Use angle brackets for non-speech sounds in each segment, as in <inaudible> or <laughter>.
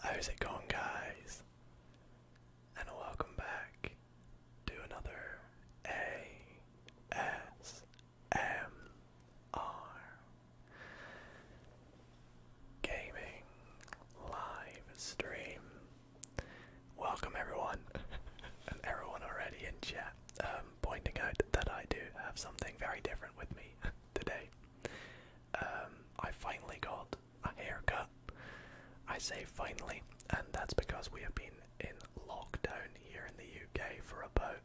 How's it going, guys? And welcome back to another ASMR Gaming Live Stream. Welcome, everyone, <laughs> and everyone already in chat, um, pointing out that I do have something very different with me <laughs> today. Um, I finally got a haircut. I say finally, and that's because we have been in lockdown here in the UK for about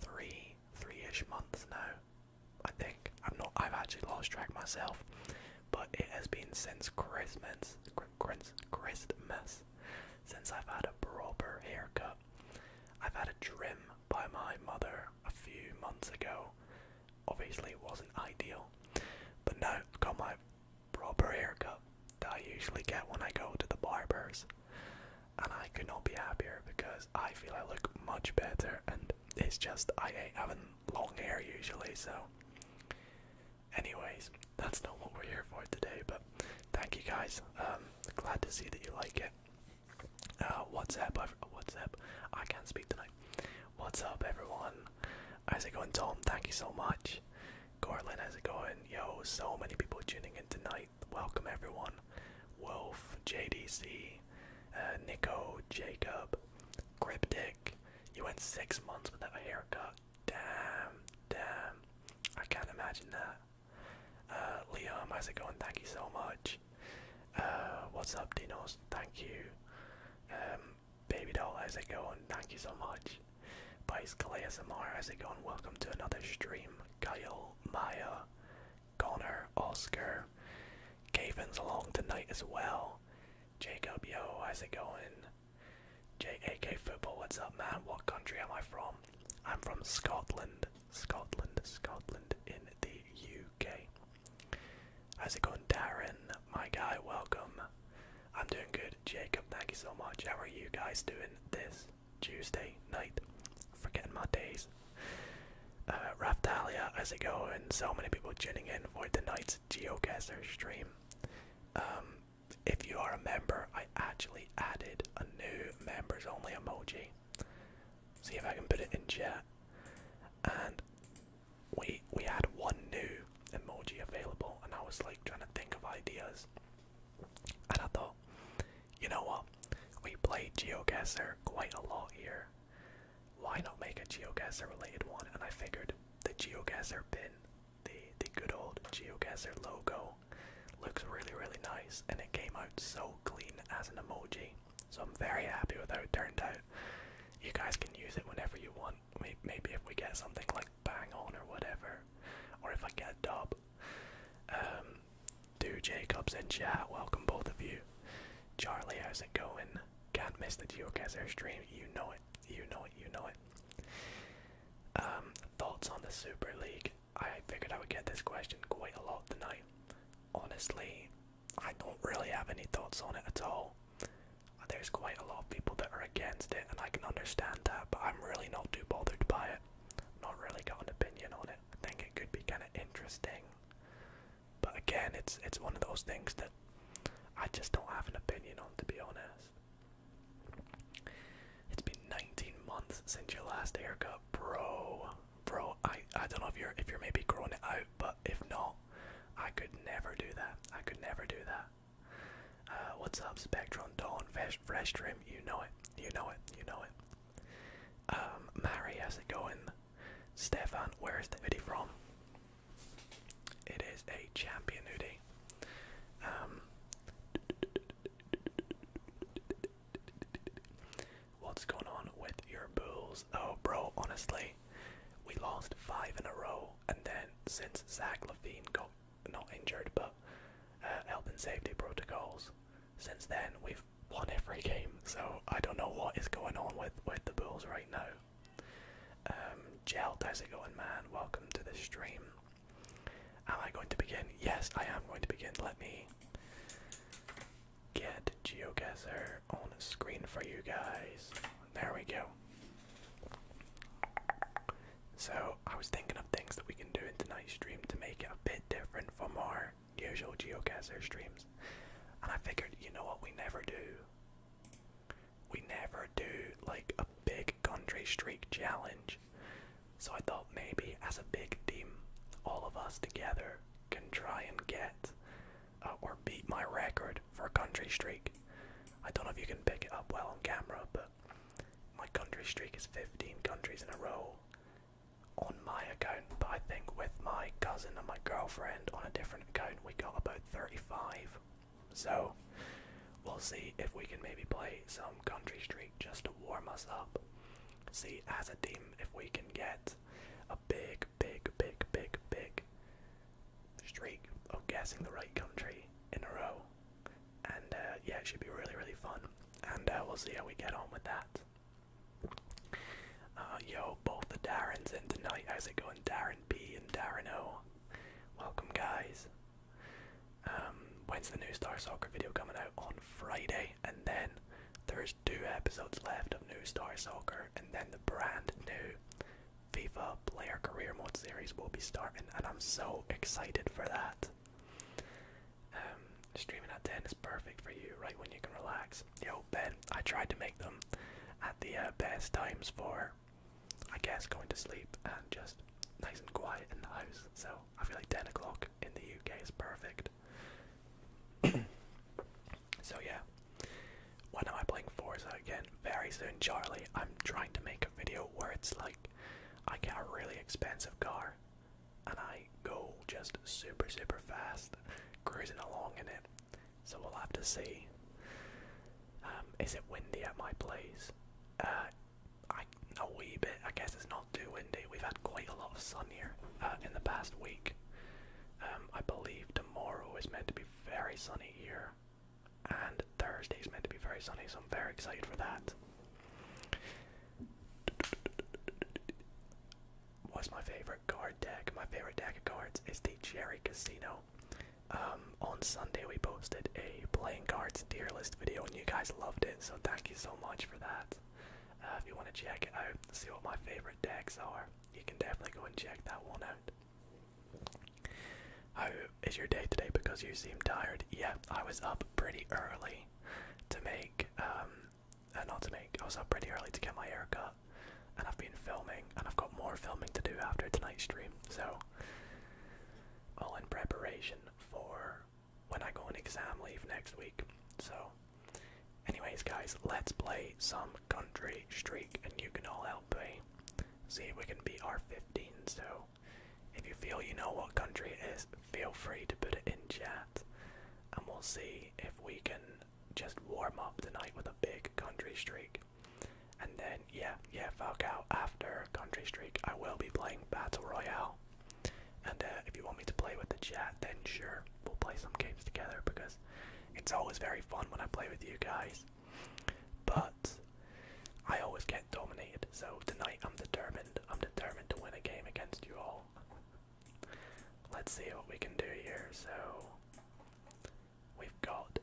three, three-ish months now. I think I'm not. I've actually lost track myself, but it has been since Christmas, Christmas, since I've had a proper haircut. I've had a trim by my mother a few months ago. Obviously, it wasn't ideal, but now I've got my proper haircut that I usually get when I go to the barbers, and I could not be happier because I feel I look much better. And it's just I ain't having long hair usually, so. Anyways, that's not what we're here for today, but thank you guys. Um, glad to see that you like it. Uh, what's up? What's up? I can't speak tonight. What's up, everyone? How's it going, Tom? Thank you so much. Cortland, how's it going? Yo, so many people tuning in tonight. Welcome, everyone. Wolf, JDC, uh, Nico, Jacob, Cryptic. You went six months without a haircut. Damn, damn. I can't imagine that. Uh, Liam, how's it going? Thank you so much. Uh, what's up, Dinos? Thank you. Um, Baby doll, how's it going? Thank you so much. Bicycle ASMR, how's it going? Welcome to another stream. Kyle, Maya, Connor, Oscar, Gavin's along tonight as well. Jacob, yo, how's it going? JAK Football, what's up, man? What country am I from? I'm from Scotland. Scotland, Scotland in the UK. How's it going, Darren? My guy, welcome. I'm doing good, Jacob. Thank you so much. How are you guys doing this Tuesday night? Forgetting my days. Uh, Raftalia, how's it going? So many people tuning in for the night's Geocaster stream. Um, if you are a member, I actually added a new members only emoji. See if I can put it in chat. And we we had one new emoji available, and I was like trying to think of ideas. And I thought, you know what? We played GeoGuessr quite a lot here. Why not make a GeoGuessr related one? And I figured the GeoGuessr pin, the the good old GeoGuessr logo, looks really really nice, and it came out so clean as an emoji. So I'm very happy with how it turned out. You guys can use it whenever you want. Maybe if we get something like bang on or whatever, or if I get a dub. Um, do Jacobs in chat, welcome both of you. Charlie, how's it going? Can't miss the geocacher stream. You know it. You know it. You know it. Um, thoughts on the Super League? I figured I would get this question quite a lot tonight. Honestly, I don't really have any thoughts on it at all. There's quite a lot of people that are against it, and I can understand that, but I'm really not too bothered by it. Not really got an opinion on it. I think it could be kind of interesting, but again, it's it's one of those things that I just don't have an opinion on, to be honest. It's been 19 months since your last haircut, bro bro, I I don't know if you're if you're maybe growing it out, but if not, I could never do that. I could never do that. Uh, what's up, Spectrum Dawn? Fresh, Trim? you know it, you know it, you know it. Um, Mary, how's it going? Stefan, where is the hoodie from? It is a champion hoodie. Um, What's going on with your Bulls? Oh, bro, honestly, we lost five in a row, and then since Zach Levine got not injured but uh, health and safety protocols, since then we've won every game. So I don't know what is going on with with the Bulls right now. Um, Gel, Jelt, how's it going, man? Welcome to the stream. Am I going to begin? Yes, I am going to begin. Let me get GeoGuessr on the screen for you guys. There we go. So I was thinking of things that we can do in tonight's stream to make it a bit different from our usual geocaster streams. And I figured, you know what, we never do. We never do like a big country streak challenge. So I thought maybe as a big team, all of us together can try and get uh, or beat my record for a country streak. I don't know if you can pick it up well on camera, but my country streak is 15 countries in a row on my account. But I think with my cousin and my girlfriend on a different account, we got about 35. So we'll see if we can maybe play some country streak just to warm us up. See as a team if we can get a big big, big, big, big, streak of guessing the right country in a row. And uh, yeah, it should be really, really fun. And uh, we'll see how we get on with that. Uh, yo, both the Darrens in tonight. How's it going, Darren B and Darren O? Welcome, guys. Um, when's the new Star Soccer video coming out? On Friday, and then there's two episodes left of New Star Soccer, and then the brand new FIFA Player Career Mode series will be starting, and I'm so excited for that. Um, streaming at 10 is perfect for you, right when you can relax. Yo, Ben, I tried to make them at the uh, best times for, I guess, going to sleep and just nice and quiet in the house. So I feel like 10 o'clock in the UK is perfect. <clears throat> So yeah, when am I playing Forza again? Very soon, Charlie. I'm trying to make a video where it's like I get a really expensive car and I go just super super fast, cruising along in it. So we'll have to see. Um, is it windy at my place? Uh, a wee bit. I guess it's not too windy. We've had quite a lot of sun here uh, in the past week. Um, I believe tomorrow is meant to be very sunny here, and Thursday is meant to be very sunny, so I'm very excited for that. What's my favorite card deck? My favorite deck of cards is the Cherry Casino. Um, on Sunday, we posted a playing cards tier list video, and you guys loved it, so thank you so much for that. Uh, if you want to check it out, see what my favorite decks are you can definitely go and check that one out. How is your day today? Because you seem tired. Yeah, I was up pretty early to make, um, uh, not to make, I was up pretty early to get my hair cut. And I've been filming, and I've got more filming to do after tonight's stream. So, all in preparation for when I go on exam leave next week. So, Anyways, guys, let's play some Country Streak, and you can all help me. See if we can be our 15, so if you feel you know what country it is, feel free to put it in chat, and we'll see if we can just warm up tonight with a big Country Streak. And then, yeah, yeah, Falcao, after Country Streak, I will be playing Battle Royale. And uh, if you want me to play with the chat, then sure, we'll play some games together because it's always very fun when I play with you guys, but I always get dominated. So tonight I'm determined. I'm determined to win a game against you all. Let's see what we can do here. So we've got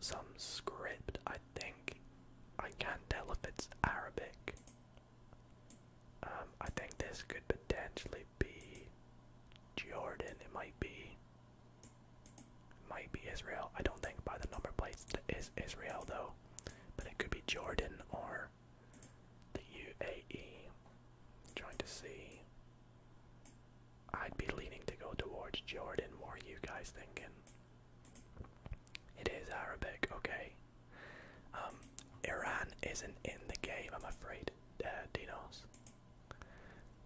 some script. I think I can't tell if it's Arabic. Um, I think this could potentially be Jordan? It might be. Might be Israel. I don't think by the number plates that is Israel though, but it could be Jordan or the UAE. trying to see. I'd be leaning to go towards Jordan. What are you guys thinking? It is Arabic, okay. Um, Iran isn't in the game, I'm afraid, uh, Dinos.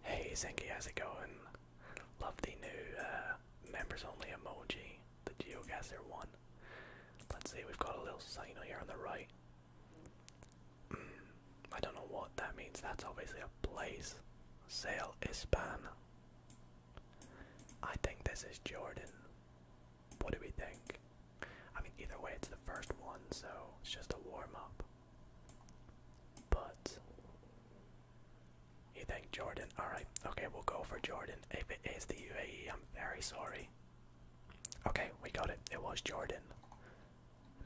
Hey Zenki, how's it going? Love the new uh, members only emoji, the geogazer one. Let's see, we've got a little signal here on the right. Mm, I don't know what that means, that's obviously a place. Sale Ispan. I think this is Jordan. What do we think? I mean, either way, it's the first one, so it's just a warm up. But you think Jordan? Alright, okay, we'll go for Jordan. If it is the UAE, I'm very sorry. Okay, we got it. It was Jordan.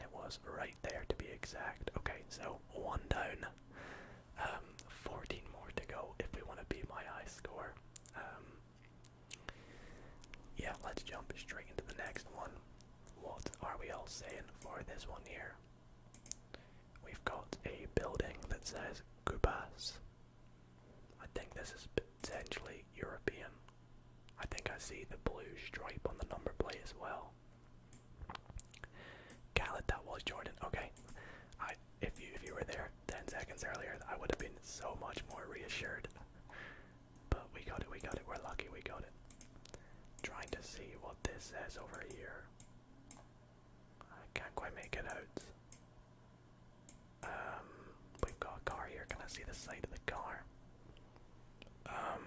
it was right there to be exact. Okay, so one down. Um, 14 more to go if we want to be my high score. Um, yeah, let's jump straight into the next one. What are we all saying for this one here? We've got a building that says Kubas. I think this is potentially European. I think I see the blue stripe on the number plate as well. Khaled, that was Jordan. Okay, if you if you were there ten seconds earlier, I would have been so much more reassured. But we got it, we got it, we're lucky we got it. Trying to see what this says over here. I can't quite make it out. Um, we've got a car here. Can I see the side of the car? Um,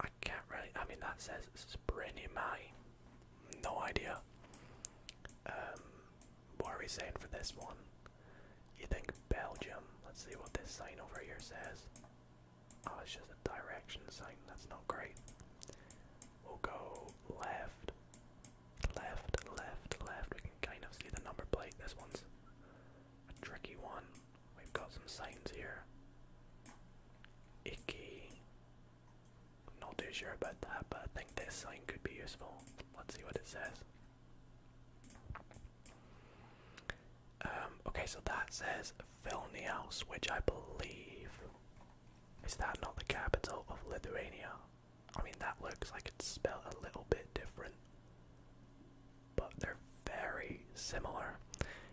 I can't really. I mean, that says Sprinimai. No idea. Um, what are we saying for this one? You think Belgium? Let's see what this sign over here says. Oh, it's just a direction sign. That's not great. We'll go left, left, left, left. We can kind of see the number plate. This one's a tricky one. We've got some signs here. Icky. I'm not too sure about that, but I think this sign could be useful. Let's see what it says. Um, okay, so that says Vilnius, which I believe is that not the capital of Lithuania? I mean, that looks like it's spelled a little bit different, but they're very similar.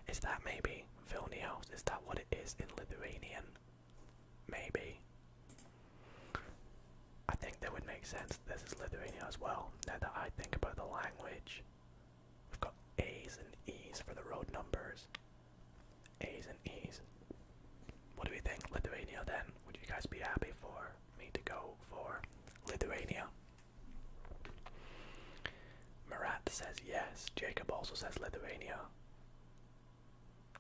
Is that maybe Vilnius? Is that what it is in Lithuanian? Maybe. I think that would make sense. This is Lithuania as well. Now that I think about the language, We've got A's and E's for the road numbers. A's and E's. What do we think, Lithuania then? Would you guys be happy for me to go for Lithuania? Marat says yes. Jacob also says Lithuania.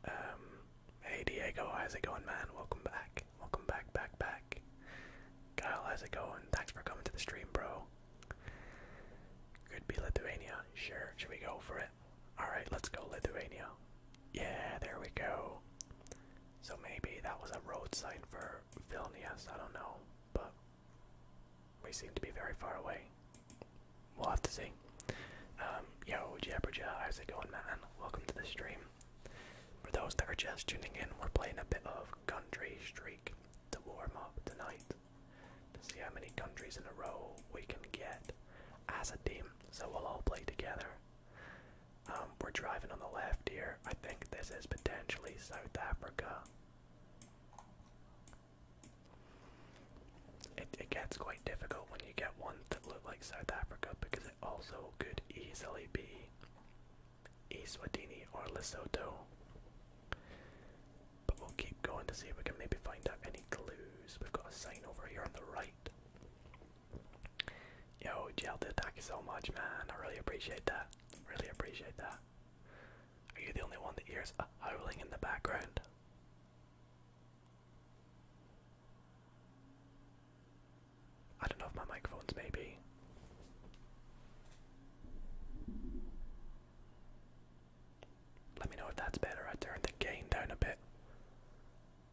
Um, hey Diego, how's it going, man? Welcome back. Welcome back, back, back. Kyle, how's it going? Thanks for coming to the stream, bro. Could be Lithuania. Sure, should we go for it? Alright, let's go Lithuania. Yeah, there we go. So maybe that was a road sign for Vilnius, I don't know, but we seem to be very far away. We'll have to see. Um, yo, Jeopardy, how's it going, man? Welcome to the stream. For those that are just tuning in, we're playing a bit of Country Street to warm up tonight to see how many countries in a row we can get as a team. So we'll all play together. Um, we're driving on the left here. I think this is potentially South Africa. It, it gets quite difficult when you get ones that look like South Africa because it also could easily be Eswatini or Lesotho. But we'll keep going to see if we can maybe find out any clues. We've got a sign over here on the right. Yo, Jelda, thank you so much, man. I really appreciate that. Really appreciate that. Are you the only one that hears a howling in the background? I don't know if my microphone's maybe let me know if that's better. I turned the gain down a bit.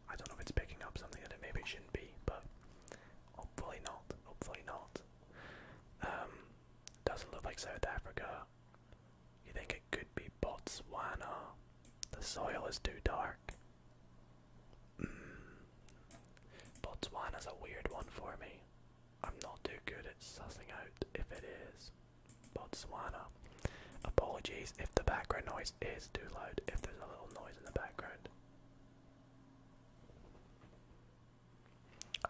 I don't know if it's picking up something that it maybe it shouldn't be, but hopefully not. Hopefully not. Um, doesn't look like South Africa. You think it could be Botswana? The soil is too dark. Mm. Botswana's a weird one for me. I'm not too good at sussing out if it is Botswana. Apologies if the background noise is too loud, if there's a little noise in the background.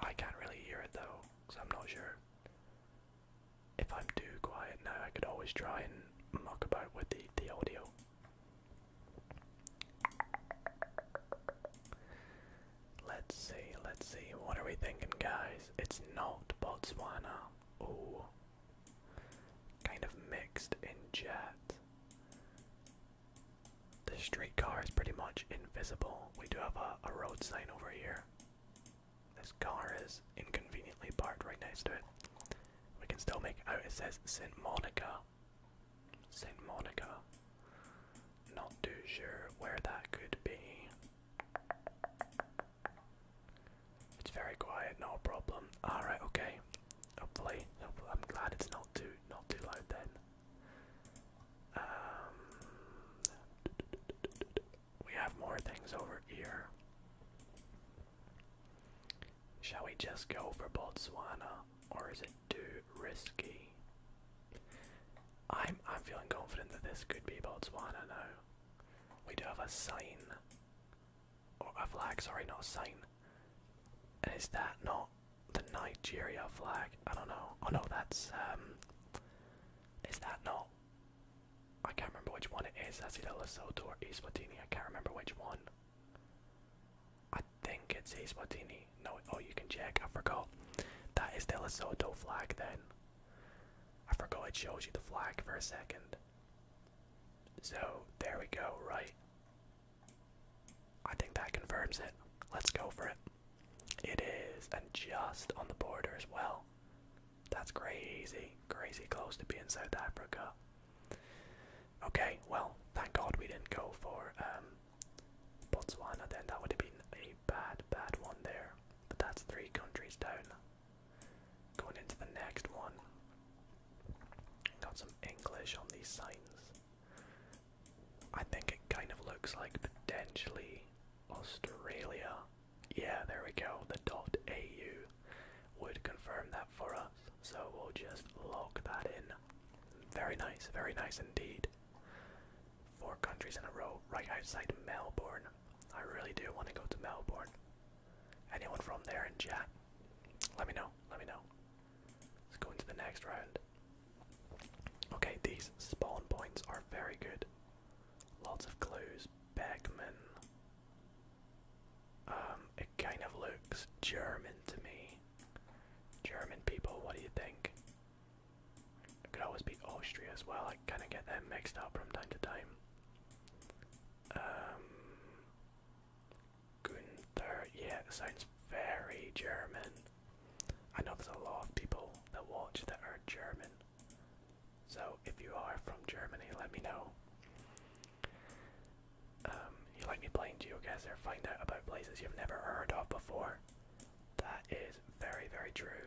I can't really hear it though, because I'm not sure. If I'm too quiet now, I could always try and muck about with the, the audio. Let's see, let's see. What are we thinking, guys? It's not Botswana. Oh, kind of mixed in chat. The streetcar is pretty much invisible. We do have a, a road sign over here. This car is inconveniently parked right next to it. We can still make out it says St. Monica. St. Monica. Not too sure where that could be. It's very quiet, no problem. Alright, okay. Hopefully, hopefully, I'm glad it's not too not too loud then. Um, we have more things over here. Shall we just go for Botswana? or is it too risky? I'm I'm feeling confident that this could be Botswana now. We do have a sign. Or a flag, sorry, not a sign. is that not the Nigeria flag? I don't know. Oh no, that's um is that not I can't remember which one it is. That's either Lesotho or Eswatini. I can't remember which one. I think it's Ace Martini. No, oh, you can check. I forgot. That is the Lesotho flag then. I forgot it shows you the flag for a second. So, there we go, right? I think that confirms it. Let's go for it. It is, and just on the border as well. That's crazy, crazy close to being South Africa. Okay, well, thank God we didn't go for um, Botswana, then that would have been a bad, bad one there. But that's three countries down. Going into the next one. Got some English on these signs. I think it kind of looks like potentially Australia. Yeah, there we go. The dot AU would confirm that for us. So we'll just log that in. Very nice, very nice indeed. Four countries in a row, right outside Melbourne. I really do want to go to Melbourne. Anyone from there in chat? Let me know, let me know. Let's go into the next round. Okay, these spawn points are very good. Lots of clues. Beckman. Um, it kind of looks German to me. German people, what do you think? It could always be Austria as well. I kind of get them mixed up from time to time. Um, Gunther, yeah, sounds very German. I know there's a lot of people that watch that are German. So if you are from Germany, let me know. Um, you like me playing geoguesser, find out about places you've never heard of before. That is very, very true.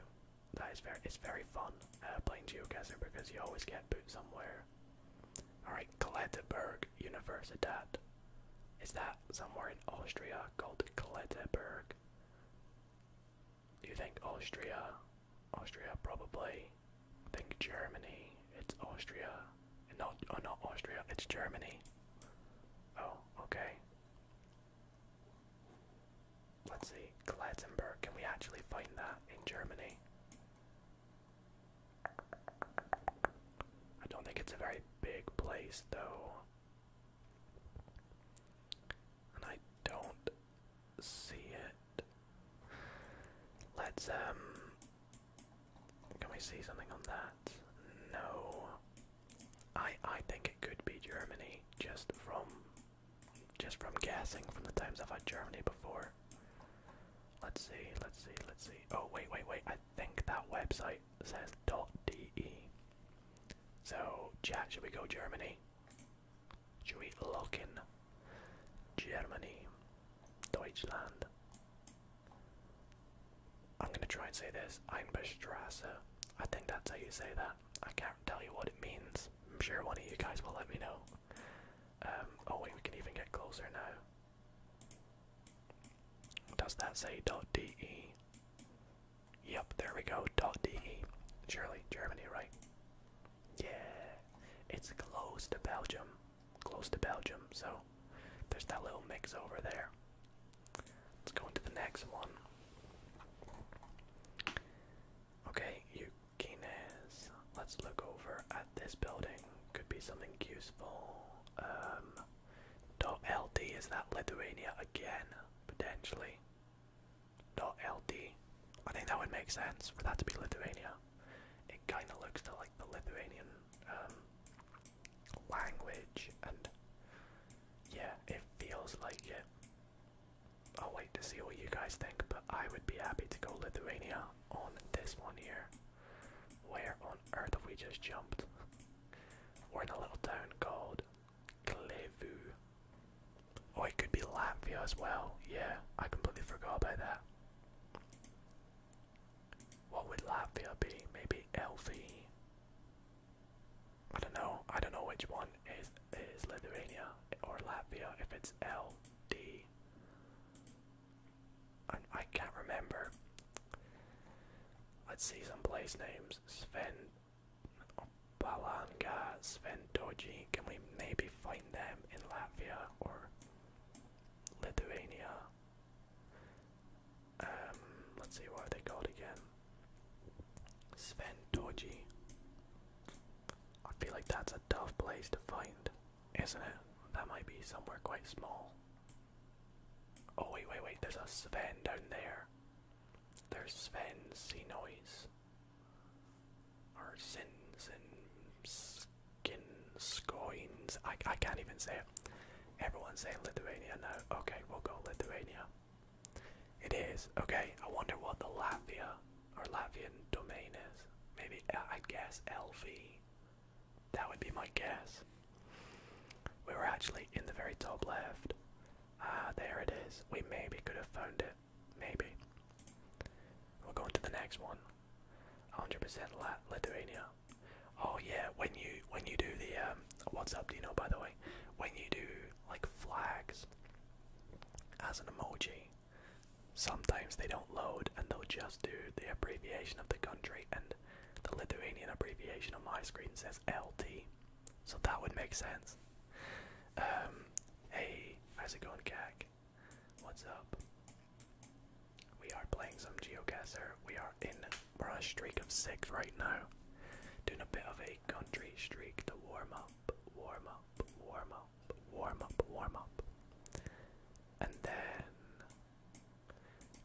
That is very, it's very fun uh, playing geocaster because you always get put somewhere. Alright, Kletteberg Universität. Is that somewhere in Austria called Kletteberg? you think Austria? Austria, probably. I think Germany. It's Austria. Not, oh, not Austria, it's Germany. Oh, okay. Let's see, Klettenberg, can we actually find that in Germany? I don't think it's a very big place though. And I don't see it. Let's um can we see something on that? No. I I think it could be Germany just from just from guessing from the times I've had Germany before. Let's see, let's see, let's see. Oh wait, wait, wait. I think that website says .de. So, chat, should we go Germany? Should we lock in Germany? Deutschland. I'm gonna try and say this. Einbestrasse. I think that's how you say that. I can't tell you what it means. I'm sure one of you guys will let me know. Um, oh wait, we can even get closer now. Does that say .de? Yep, there we go, .de. Surely, Germany, right? Yeah, it's close to Belgium. Close to Belgium, so there's that little mix over there. Let's go into the next one. Okay, Yukinez. Let's look over at this building. Could be something useful. dot um, LD is that Lithuania again, potentially. Dot LD. I think that would make sense for that to be Lithuania. It kind of looks to like the Lithuanian um, language and yeah, it feels like yeah. I'll wait to see what you guys think, but I would be happy to go Lithuania on this one here. Where on earth have we just jumped? We're in a little town called Klevu. Oh, it could be Latvia as well. Yeah, I completely forgot about that. What would Latvia be? Maybe LV. I don't know. I don't know which one is is Lithuania or Latvia. If it's L D, I, I can't remember. Let's see some place names. Sven Balanga, Sven Doji. Can we maybe find them in Latvia or Lithuania? Um, let's see what they called again. Sven Dorji. I feel like that's a tough place to find, isn't it? That might be somewhere quite small. Oh wait, wait, wait, there's a Sven down there. There's Sven noise. Or Sin Sin Skin Scoins. I I can't even say it. Everyone's saying Lithuania No, Okay, we'll go Lithuania. It is. Okay, I wonder what the Latvia or Latvian domain is. Maybe, uh, i guess LV. That would be my guess. We were actually in the very top left. Ah, there it is. We maybe could have found it. Maybe. We'll go to the next one. 100% Lat Lithuania. Oh yeah, when you when you do the um, what's up, Dino? by the way, when you do like flags as an emoji, sometimes they don't load and they'll just do the abbreviation of the country, and the Lithuanian abbreviation on my screen says LT, so that would make sense. Um, hey, how's it going, Cag? What's up? We are playing some geocaster. We are in we're on a streak of six right now. Doing a bit of a country streak to warm up, warm up, warm up, warm up, warm up. And then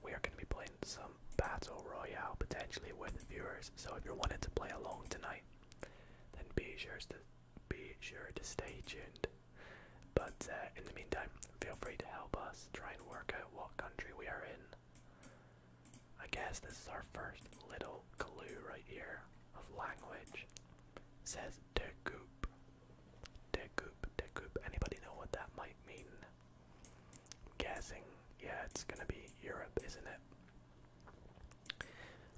we are going to be playing some Battle Royale potentially with viewers. So if you're wanting to play along tonight, then be sure to be sure to stay tuned. But uh, in the meantime, feel free to help us try and work out what country we are in I guess this is our first little clue right here of language. Says "de It "de decoup. "de decoup. Anybody know what that might mean? guessing, yeah, it's gonna be Europe, isn't it?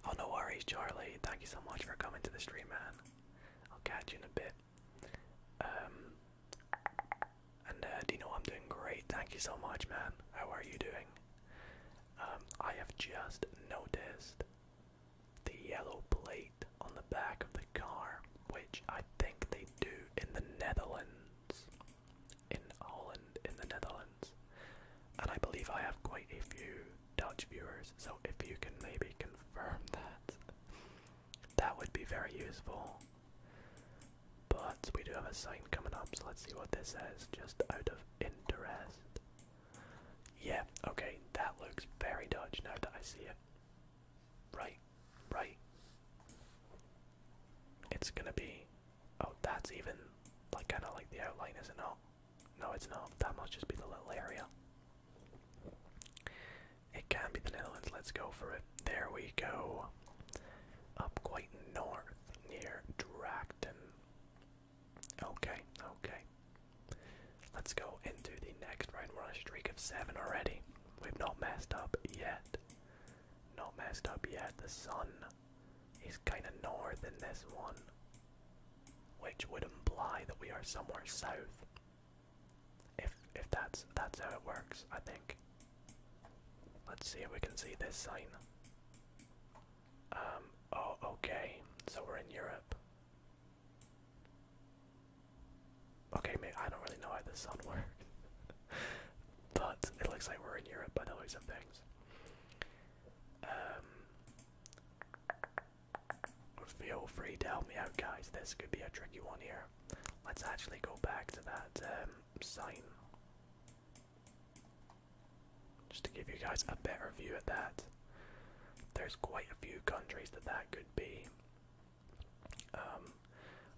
Oh, no worries, Charlie. Thank you so much for coming to the stream, man. I'll catch you in a bit. Um, and uh, you know I'm doing great? Thank you so much, man. How are you doing? Um, I have just noticed the yellow plate on the back of the car, which I think they do in the Netherlands. In Holland, in the Netherlands. And I believe I have quite a few Dutch viewers, so if you can maybe confirm that, that would be very useful. But we do have a sign coming up, so let's see what this says, just out of interest. Yeah, okay, that looks very Dutch now that I see it. Right, right. It's gonna be. Oh, that's even like kind of like the outline, is it No, No, it's not. That must just be the little area. It can be the Netherlands. Let's go for it. There we go. Up quite north near Drakton. Okay, okay. Let's go into the next round. We're on a streak of seven already. We've not messed up yet. Not messed up yet. The sun is kind of north in this one, which would imply that we are somewhere south. If if that's that's how it works, I think. Let's see if we can see this sign. Um, oh, okay, so we're in Europe. Okay, mate, I don't really know how the sun <laughs> works. but it looks like we're in Europe by the looks of things. Um, feel free to help me out, guys. This could be a tricky one here. Let's actually go back to that um, sign. Just to give you guys a better view of that. There's quite a few countries that that could be. Um,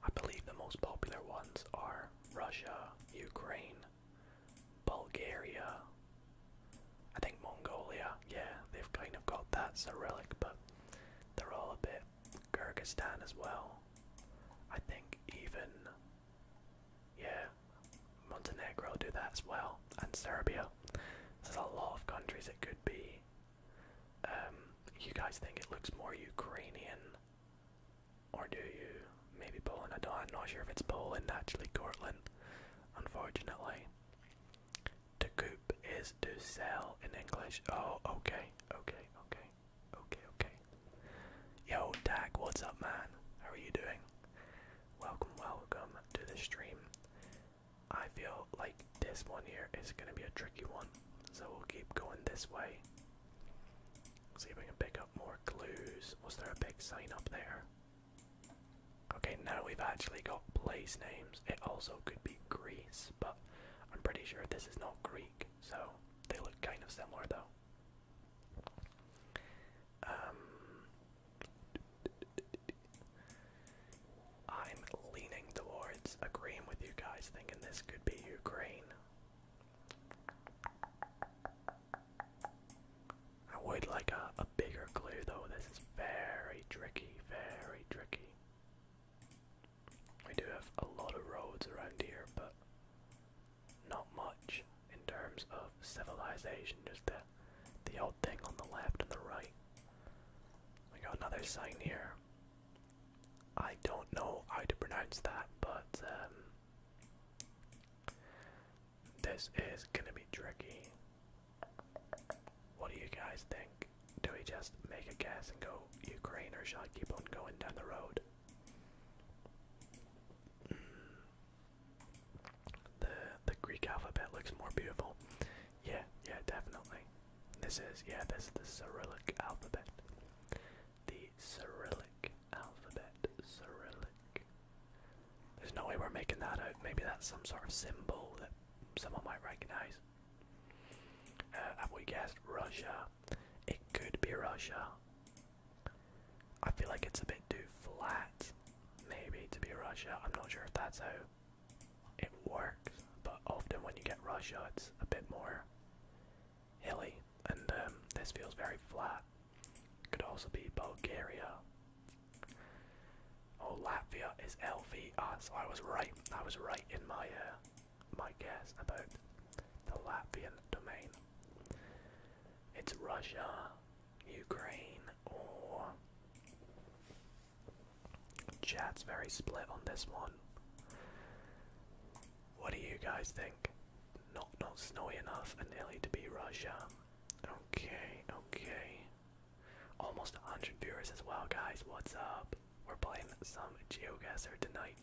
I believe the most popular ones are Russia, Ukraine, Bulgaria. I think Mongolia, yeah, they've kind of got that Cyrillic, but they're all a bit Kyrgyzstan as well. I think even yeah, Montenegro do that as well, and Serbia. There's a lot of countries it could be. Um, you guys think it looks more Ukrainian, or do you? Maybe Poland. I don't. I'm not sure if it's Poland actually. Cortland, unfortunately. To coop is to sell in English. Oh, okay, okay, okay okay, okay. Yo, Dag, what's up, man? How are you doing? Welcome, welcome to the stream. I feel like this one here is gonna be a tricky one, so we'll keep going this way. See if we can pick up more clues. Was there a big sign up there? Okay, now we've actually got place names. It also could be Greece, but I'm pretty sure this is not Greek, so they look kind of similar though. Um, I'm leaning towards agreeing with you guys, thinking this could be Ukraine. I would like a, a bigger clue though, this is very tricky, very tricky. We do have a lot of roads around here, but not much in terms of civilization, just the, the old thing on the left and the right. We got another sign here. I don't know how to pronounce that, but um, this is gonna be tricky. What do you guys think? Do we just make a guess and go Ukraine, or shall I keep on going down the road? The the Greek alphabet looks more beautiful. Yeah, yeah, definitely. This is yeah, this is the Cyrillic alphabet. The Cyrillic alphabet. Cyrillic. There's no way we're making that out. Maybe that's some sort of symbol that someone might recognize. Uh, have we guessed Russia? It could be Russia. I feel like it's a bit too flat, maybe, to be Russia. I'm not sure if that's how it works, but often when you get Russia, it's a bit more hilly, and um, this feels very flat. Could also be Bulgaria. Oh, Latvia is LVR, so I was right. I was right in my uh, my guess about the Latvian domain. It's Russia, Ukraine, or. Chat's very split on this one. What do you guys think? Not not snowy enough and nearly to be Russia. Okay, okay. Almost 100 viewers as well, guys. What's up? We're playing some geoguesser tonight.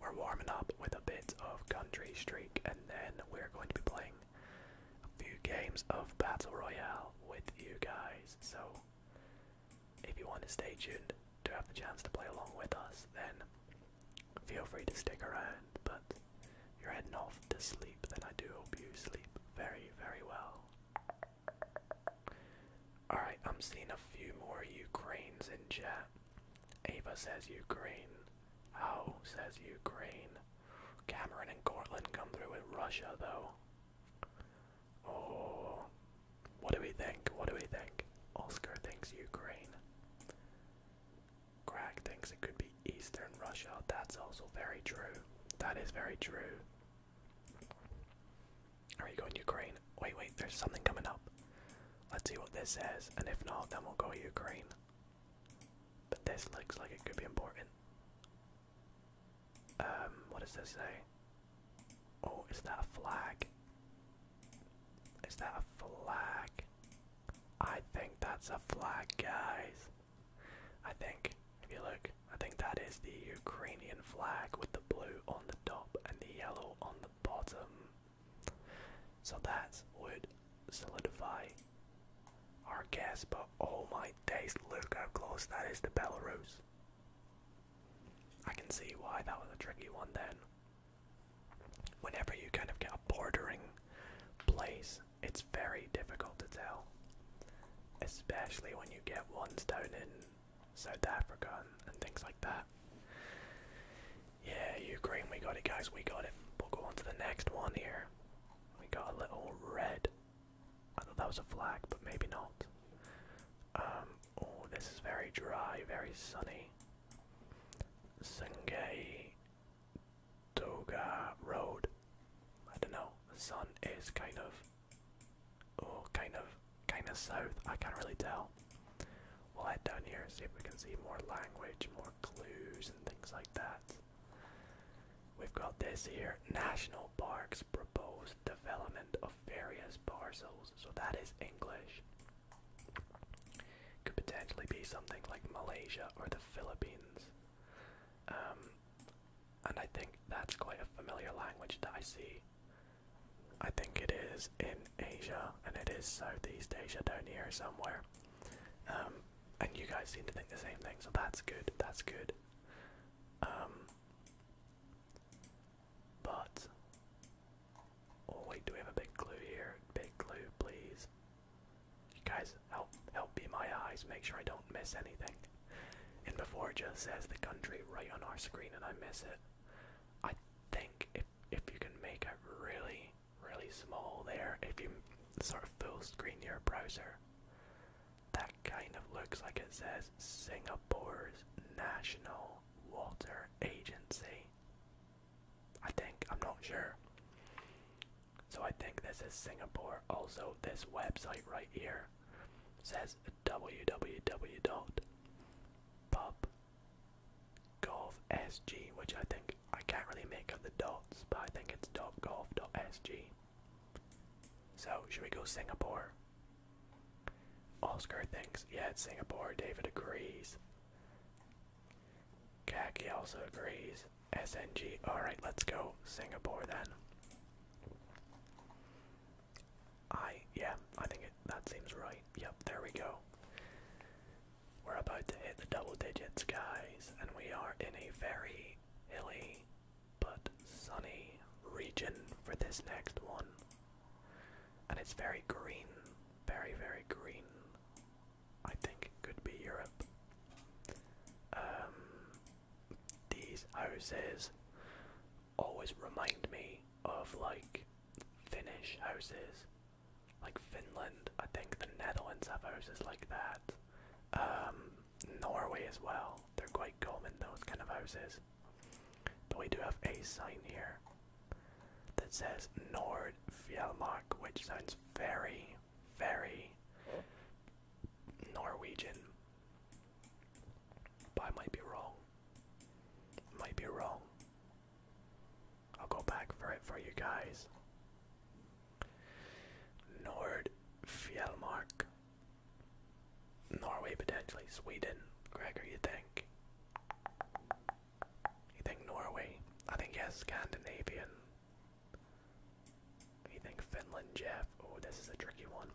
We're warming up with a bit of Country Streak, and then we're going to be playing a few games of Battle Royale with you guys. So, if you want to stay tuned to have the chance to play along with us, then feel free to stick around. But you're heading off to sleep, then I do hope you sleep very, very well. Alright, I'm seeing a few more Ukraines in chat. Ava says Ukraine. How says Ukraine. Cameron and Cortland come through with Russia, though. Oh, what do we think? What do we think? Oscar thinks Ukraine. Craig thinks it could be Eastern Russia. That's also very true. That is very true. Are you going Ukraine? Wait, wait, there's something coming up. Let's see what this says, and if not, then we'll go Ukraine. But this looks like it could be important. Um, what does this say? Oh, is that a flag? Is that a flag? I think that's a flag, guys. I think, if you look, I think that is the Ukrainian flag with the blue on the top and the yellow on the bottom. So that would solidify our guess, but oh my days, look how close that is to Belarus. I can see why that was a tricky one then. Whenever you kind of get a bordering place, it's very difficult to tell. Especially when you get ones down in South Africa and things like that. Yeah, you green. we got it, guys. We got it. We'll go on to the next one here. We got a little red. I thought that was a flag, but maybe not. Um, oh, this is very dry, very sunny. Sungay Doga Road. I don't know. The sun is kind of, oh, kind of, kind of south. I can't really tell. We'll head down here and see if we can see more language, more clues, and things like that. We've got this here National Parks proposed development of various parcels. So that is English. Could potentially be something like Malaysia or the Philippines. Um, and I think that's quite a familiar language that I see. I think it is in Asia, and it is Southeast Asia down here somewhere. Um, and you guys seem to think the same thing, so that's good. That's good. Um, but oh, wait, do we have a big clue here? Big clue, please. You guys, help help be my eyes. Make sure I don't miss anything. And before just says the country right on our screen, and I miss it. I think if if you can make it really really small there if you sort of full screen your browser. That kind of looks like it says Singapore's National Water Agency. I think, I'm not sure. So I think this is Singapore. Also, this website right here says www. www.pub golfsg, which I think I can't really make out the dots, but I think it's dot .golf.sg. So, should we go Singapore? Oscar thinks, yeah, it's Singapore. David agrees. Khaki also agrees. SNG, alright, let's go Singapore then. I, yeah, I think it, that seems right. Yep, there we go. We're about to hit the double digits, guys, and we are in a very hilly but sunny region for this next one. And it's very green, very, very green. I think it could be Europe. Um, these houses always remind me of like Finnish houses like Finland. I think the Netherlands have houses like that. Um, Norway as well. They're quite common those kind of houses. But we do have a sign here that says Nord Fjellmark, which sounds very, very Norwegian. But I might be wrong. Might be wrong. I'll go back for it for you guys. Nord Fjellmark. Norway potentially. Sweden. Gregor, you think? You think Norway? I think yes, Scandinavian. You think Finland, Jeff? Oh, this is a tricky one.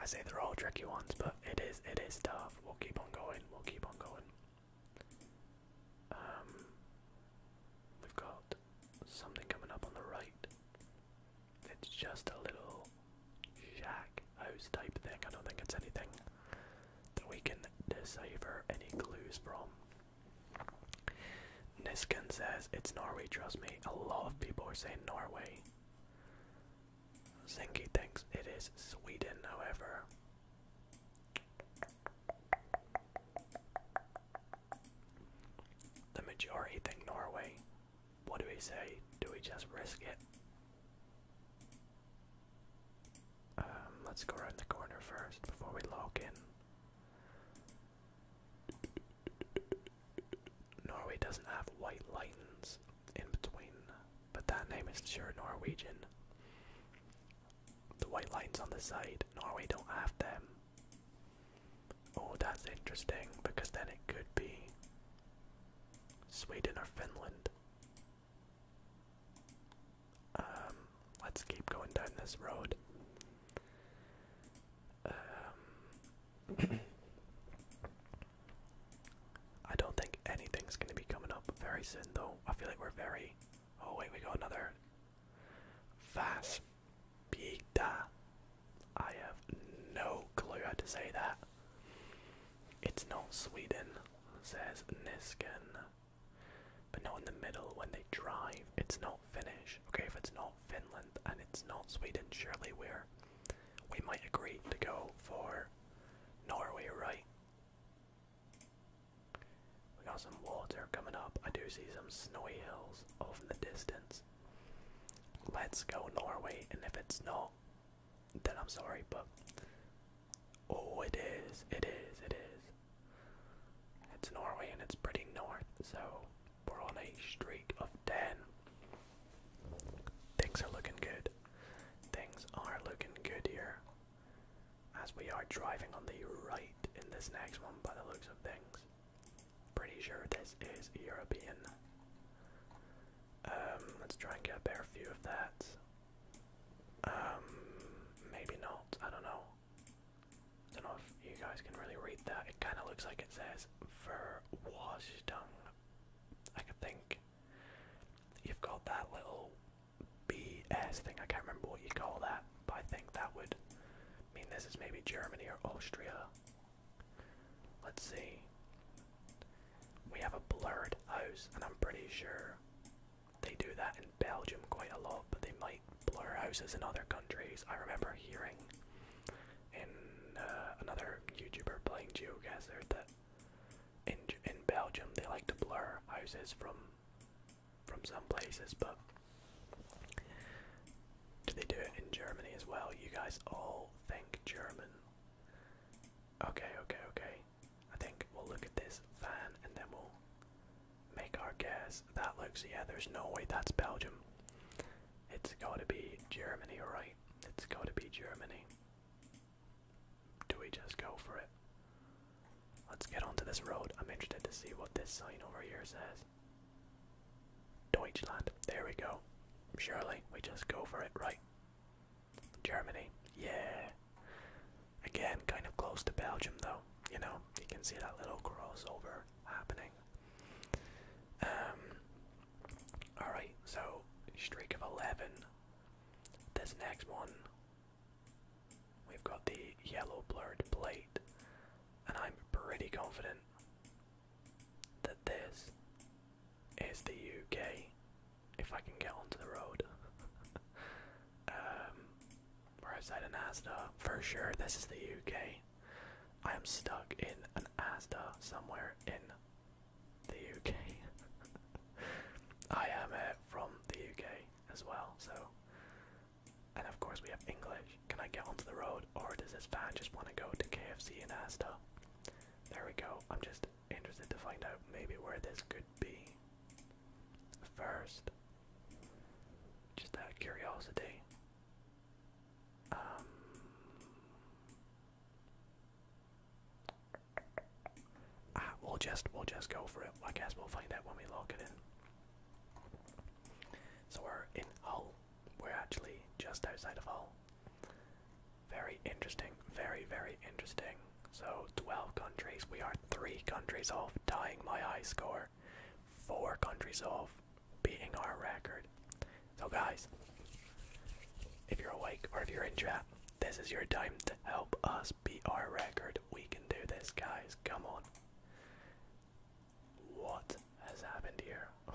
I say they're all tricky ones, but it is it is tough. We'll keep on going. We'll keep on going. Um, we've got something coming up on the right. It's just a little shack house type thing. I don't think it's anything that we can decipher any clues from. Niskin says it's Norway, trust me. A lot of people are saying Norway. Zingy thinks it is Sweden, however. The majority think Norway. What do we say? Do we just risk it? Um, let's go around the corner first before we log in. Norway doesn't have white lines in between, but that name is sure Norwegian the white lines on the side. Norway don't have them. Oh, that's interesting because then it could be Sweden or Finland. Um, let's keep going down this road. Um, <coughs> I don't think anything's going to be coming up very soon, though. I feel like we're very Oh wait, we got another. Vas Pita. I have no clue how to say that. It's not Sweden, says Niskan. But not in the middle when they drive. It's not Finnish. Okay, if it's not Finland and it's not Sweden, surely we're we might agree to go for Norway, right? We got some water coming up. I do see some snowy hills off in the distance. Let's go Norway, and if it's not, then I'm sorry, but oh, it is, it is, it is. It's Norway and it's pretty north, so we're on a streak of 10. Things are looking good. Things are looking good here. As we are driving on the right in this next one by the looks of things. Pretty sure this is European. Um, let's try and get a better view of that. Um, maybe not, I don't know. I don't know if you guys can really read that. It kind of looks like it says Verwashtung. I could think you've got that little BS thing. I can't remember what you call that, but I think that would mean this is maybe Germany or Austria. Let's see. We have a blurred house, and I'm pretty sure they do that in Belgium quite a lot, but they might blur houses in other countries. I remember hearing in uh, another YouTuber playing GeoGuessr that in in Belgium they like to blur houses from from some places, but do they do it in Germany as well? You guys all think German. Okay, okay, okay. I think we'll look at this van and then we'll make our guess. That looks, yeah, there's no way that's Belgium. It's gotta be Germany, right? It's gotta be Germany. Do we just go for it? Let's get onto this road. I'm interested to see what this sign over here says. Deutschland. There we go. Surely we just go for it, right? Germany. Yeah. Again, kind of close to Belgium, though. You know, you can see that little crossover happening. Um. All right. So streak of eleven. This next one We've got the yellow blurred plate, and I'm pretty confident that this is the UK if I can get onto the road. <laughs> um, we're outside an Asda. For sure, this is the UK. I am stuck in an Asda somewhere in the UK. <laughs> I am uh, from the UK as well, so and of course, we have English. Can I get onto the road, or does this fan just want to go to KFC and Asta? There we go. I'm just interested to find out maybe where this could be first. Just out of curiosity. Um, ah, we'll just we'll just go for it. I guess we'll find out when we log it in. So we're in Hull. We're actually just outside of Hull. Very interesting, very, very interesting. So 12 countries, we are 3 countries off tying my high score, 4 countries off beating our record. So guys, if you're awake or if you're in chat, this is your time to help us beat our record. We can do this guys, come on. What has happened here? <laughs>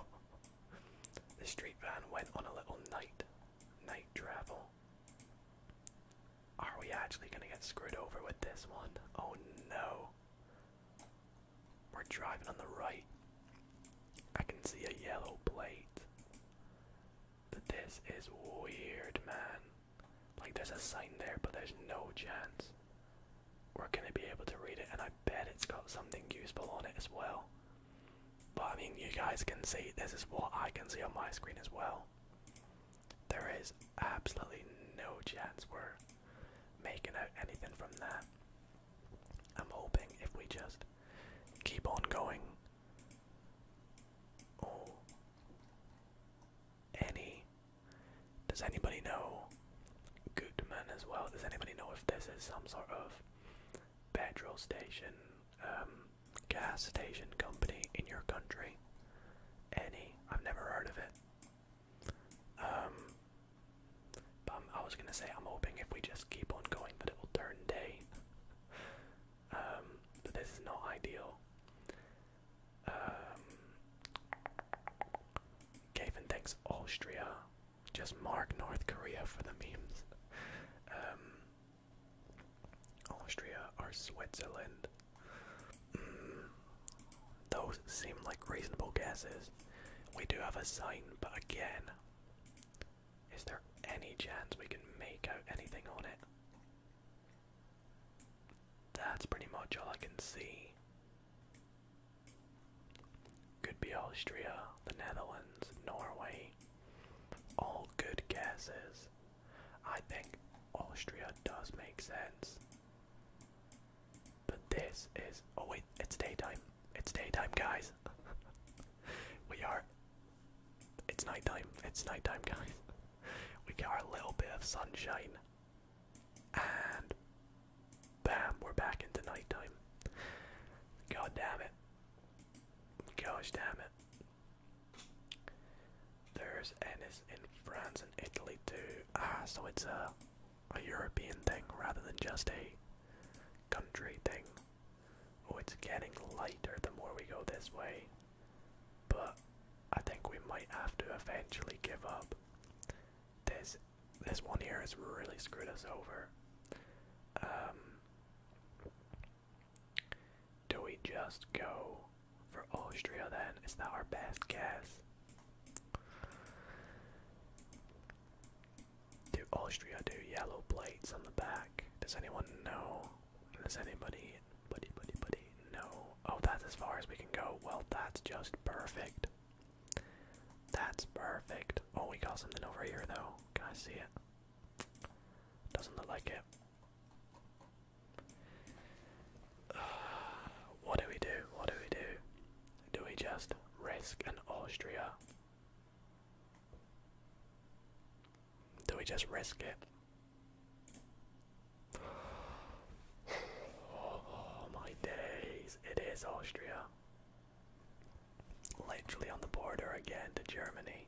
the street van went on a little night night travel. Are we actually gonna get screwed over with this one? Oh no. We're driving on the right. I can see a yellow plate. But this is weird, man. Like there's a sign there, but there's no chance we're gonna be able to read it, and I bet it's got something useful on it as well. But I mean, you guys can see this is what I can see on my screen as well. There is absolutely no chance we're making out anything from that. I'm hoping if we just keep on going. Oh, any. Does anybody know Goodman as well? Does anybody know if this is some sort of petrol station, um, gas station company in your country? Any? I've never heard of it. Um, but i was gonna say I'm hoping if we just keep on going that it will turn day. <laughs> Um, but this is not ideal. Um, Gavin thanks Austria. Just mark North Korea for the memes. Um, Austria or Switzerland. Mm, those seem like reasonable guesses. We do have a sign, but again, is there any chance we can make out anything on it? That's pretty much all I can see. Could be Austria, the Netherlands, Norway. All good guesses. I think Austria does make sense. But this is. Oh, wait, it's daytime. It's daytime, guys. <laughs> we are. It's nighttime. It's nighttime, guys. <laughs> we got a little bit of sunshine. And bam, we're back into nighttime. God damn it. Gosh damn it. There's Ennis in France and Italy too. Ah, so it's a, a European thing rather than just a country thing. Oh, it's getting lighter the more we go this way. But I think we might have to eventually give up. This this one here has really screwed us over. Um, do we just go for Austria then? Is that our best guess? Do Austria do yellow plates on the back? Does anyone know? Does anybody, buddy, buddy, buddy, know Oh, that's as far as we can go. Well, that's just perfect. That's perfect. Oh, we got something over here, though. Can I see it? Doesn't look like it. <sighs> what do we do? What do we do? Do we just risk an Austria? Do we just risk it? Oh my days, it is Austria. Literally on the border again to Germany.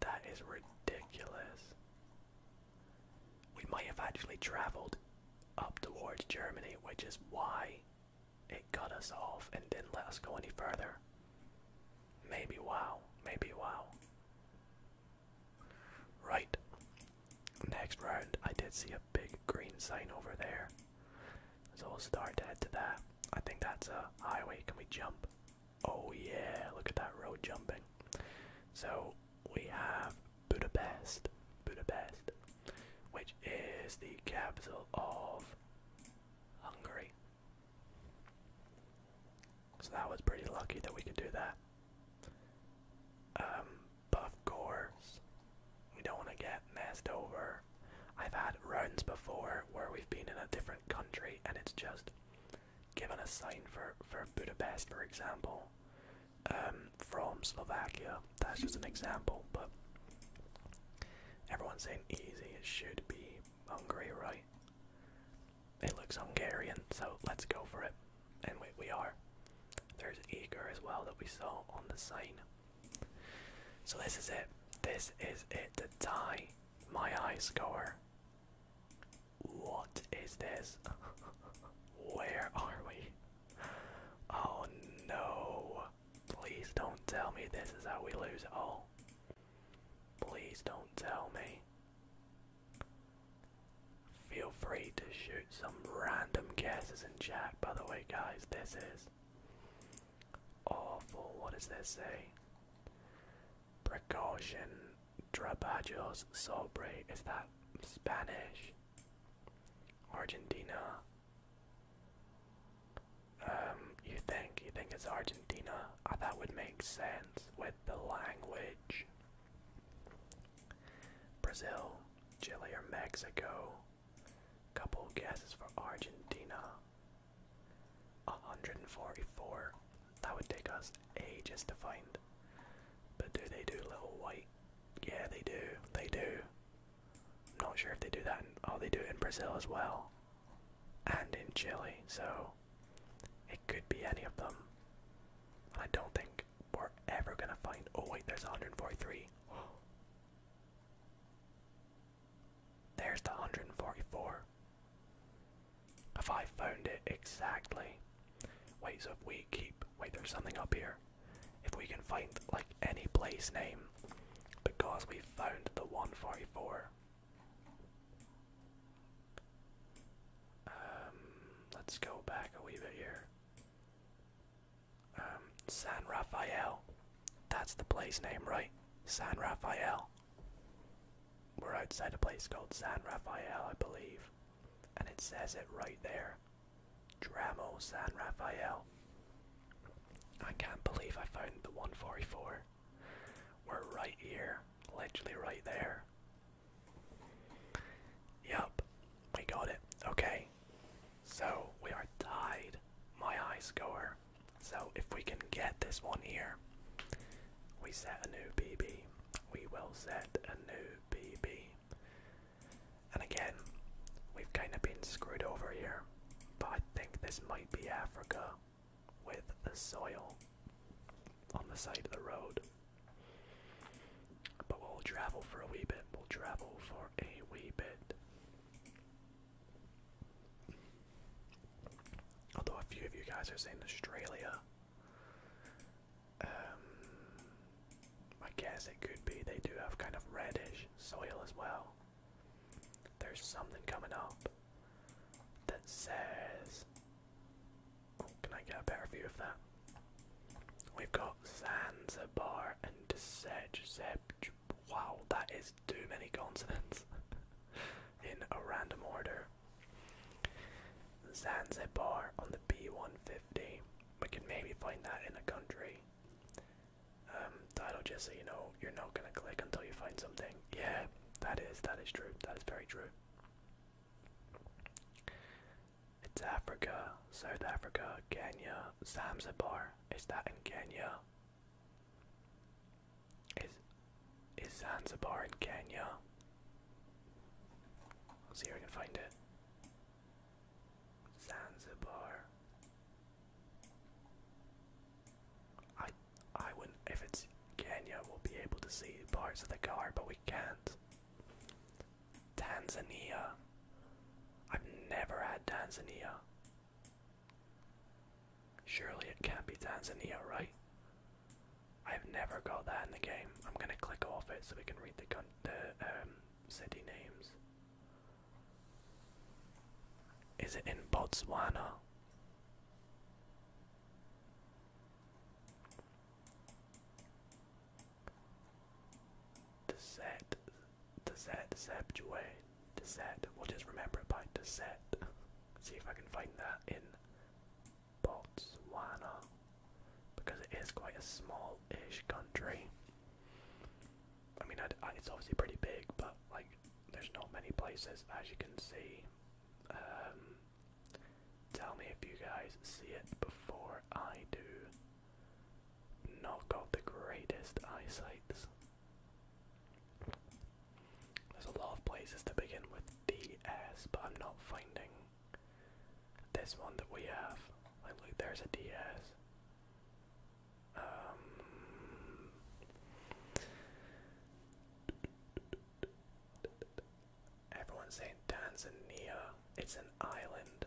That is ridiculous. We might have actually traveled up towards Germany, which is why it cut us off and didn't let us go any further. Maybe wow, maybe wow. Right. Next round, I did see a big green sign over there. So we'll start to head to that. I think that's a highway. Can we jump? Oh yeah, look at that road jumping. So we have Budapest, Budapest, which is the capital of Hungary. So that was pretty lucky that we could do that. Um, of course, we don't want to get messed over. I've had runs before where we've been in a different country and it's just given a sign for, for Budapest, for example, um, from Slovakia. That's just an example, but everyone's saying easy. It should be Hungary, right? It looks Hungarian, so let's go for it and we, we are. There's Eager as well that we saw on the sign. So this is it. This is it to tie my high score. What is this? <laughs> Where are we? Oh no. Please don't tell me this is how we lose it all. Please don't tell me. Feel free to shoot some random guesses in chat, by the way, guys. This is awful. What does this say? Precaution, trabajos sobre. Is that Spanish? Argentina? Um, you think? You think it's Argentina? Oh, that would make sense with the language. Brazil. Chile or Mexico. Couple guesses for Argentina. 144. That would take us ages to find. But do they do little white? Yeah, they do. They do. not sure if they do that. In, oh, they do it in Brazil as well. And in Chile, so it could be any of them. I don't think we're ever gonna find. Oh, wait, there's 143. <gasps> There's the 144. If I found it exactly. Wait, so if we keep. Wait, there's something up here. If we can find, like, any place name, because we found the 144. Um, let's go back a wee bit here. Um, San Rafael. That's the place name, right? San Rafael. We're outside a place called San Rafael, I believe. And it says it right there. Dramo San Rafael. I can't believe I found the 144. We're right here, allegedly right there. Yup, we got it. Okay, so we are tied, my high score. So if we can get this one here, we set a new BB. We will set a new BB. And again, we've kind of been screwed over here, but I think this might be Africa with the soil on the side of the road. But we'll travel for a wee bit. We'll travel for a wee bit. Although a few of you guys are saying Australia. Um, I guess it could be they do have kind of reddish soil as well. There's something coming up that says. Oh, can I get a better view of that? We've got Zanzibar and Sej. Wow, that is too many consonants <laughs> in a random order. Zanzibar on the B150. We can maybe find that in a country. Um, title just so you know, you're not gonna click until you find something. Yeah, that is that is true. That is very true. It's Africa, South Africa, Kenya, Zanzibar. Is that in Kenya? Is is Zanzibar in Kenya? I'll see if I can find it. Zanzibar. I I would if it's Kenya we'll be able to see parts of the car but we can't. Tanzania. I've never had Tanzania. Surely it can't be Tanzania, right? I've never got that in the game. I'm gonna click off it so we can read the, the um, city names. Is it in Botswana? Desette, Desette, Septue, Desette. We'll just remember it by Desette. See if I can find that in Botswana, because it is quite a small country. I mean, it's obviously pretty big, but like, there's not many places, as you can see. Um, tell me if you guys see it before I do not got the greatest eyesights. There's a lot of places to begin with DS, but I'm not finding this one that we have. Like, look, there's a DS. Um, everyone's saying Tanzania. It's an island.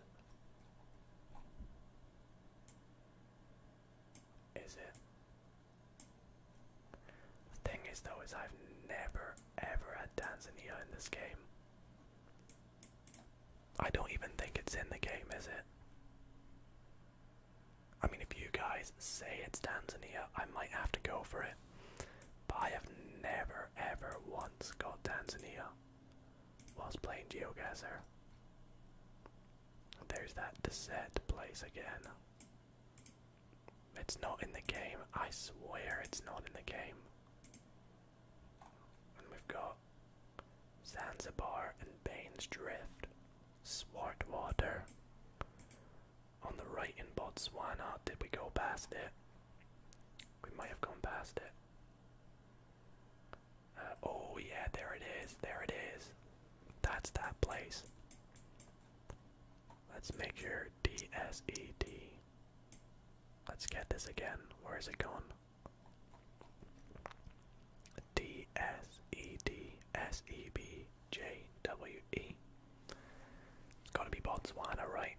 Is it? The thing is though is I've never ever had Tanzania in this game. I don't even think it's in the game, is it? I mean if you guys say it's Tanzania, I might have to go for it. But I have never ever once got Tanzania whilst playing Geogazer. There's that Desert place again. It's not in the game, I swear it's not in the game. And we've got Zanzibar and Baines Drift, Swartwater. On the right in Botswana, did we go past it? We might have gone past it oh yeah, there it is, there it is. That's that place. Let's make your DSED. Let's get this again. Where is it going? D S E D S E B J W E. Gotta be Botswana, right?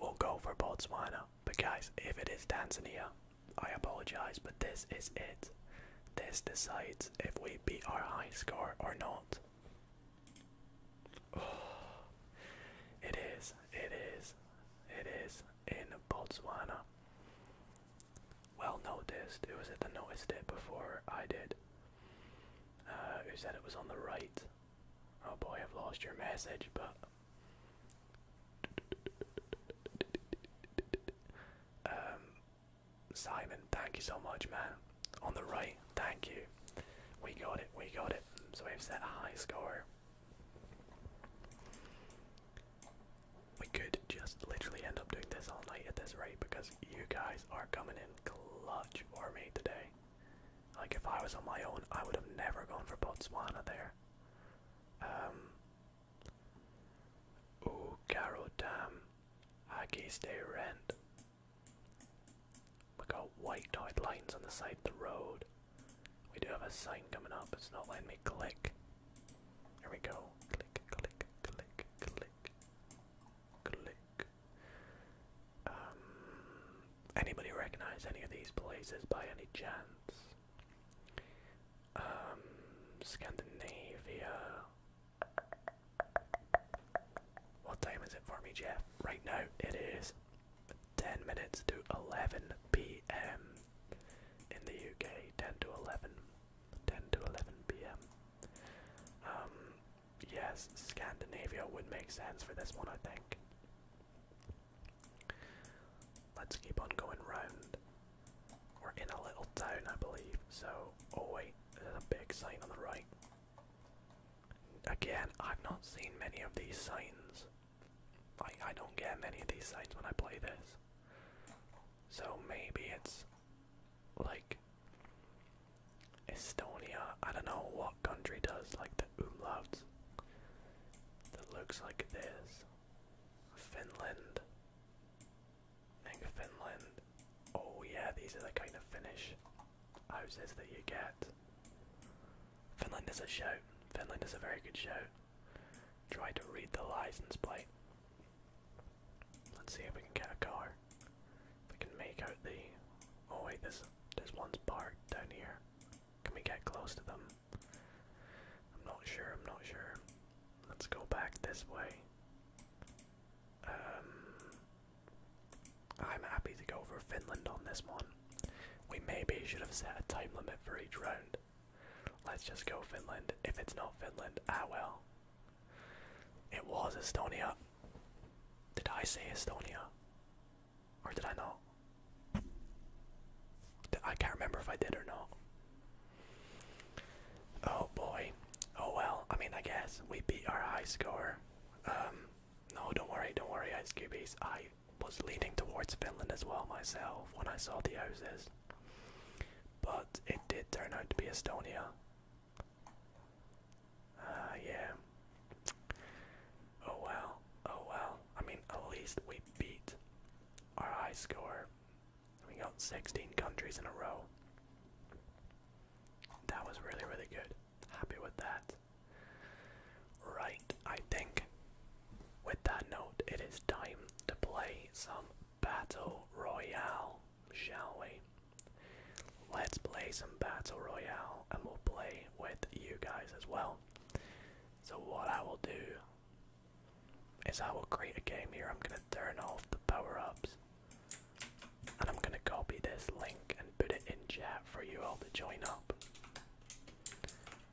We'll go for Botswana. But guys, if it is Tanzania, I apologize, but this is it. This decides if we beat our high score or not. <sighs> it is, it is, it is in Botswana. Well noticed. It was it the noticed it before I did? Uh, who said it was on the right? Oh boy, I've lost your message, but um, Simon, thank you so much, man. On the right, thank you. We got it, we got it. So we've set a high score. We could just literally end up doing this all night at this rate because you guys are coming in clutch for me today. Like if I was on my own, I would have never gone for Botswana there. Um, oh, Carol Dam, Haggis Day Rent. We got white lines on the side of the road. We do have a sign coming up, it's not letting me click. Here we go. Click, click, click, click, click. Um, anybody recognize any of these places by any chance? Um, Scandinavia. What time is it for me, Jeff? Right now it is 10 minutes to 11 p.m. in the UK. 10 to 11. 10 to 11 p.m. Um, yes, Scandinavia would make sense for this one, I think. Let's keep on going round. We're in a little town, I believe. So, oh wait, there's a big sign on the right. Again, I've not seen many of these signs. I, I don't get many of these signs when I play this. So maybe it's like Estonia. I don't know what country does like the umlauts that looks like this. Finland. think Finland. Oh yeah, these are the kind of Finnish houses that you get. Finland is a shout. Finland is a very good show. Try to read the license plate. Let's see if we can get a car. we can make out the. Oh wait, this this one's parked down here. Can we get close to them? I'm not sure, I'm not sure. Let's go back this way. Um, I'm happy to go for Finland on this one. We maybe should have set a time limit for each round. Let's just go Finland. If it's not Finland, ah well. It was Estonia. Did I say Estonia? Or did I not? I can't remember if I did or not. Oh boy. Oh well, I mean, I guess we beat our high score. Um, no, don't worry, don't worry, Ice Cubies. I was leaning towards Finland as well myself when I saw the houses. But it did turn out to be Estonia. Uh, yeah. Oh well, oh well. I mean, at least we beat our high score. We got 16 countries in a row. That was really, really good. Happy with that. Right, I think with that note, it is time to play some Battle Royale, shall we? Let's play some Battle Royale and we'll play with you guys as well. So, what I will do is I will create a game here. I'm gonna turn off the power-ups and I'm gonna copy this link and put it in chat for you all to join up.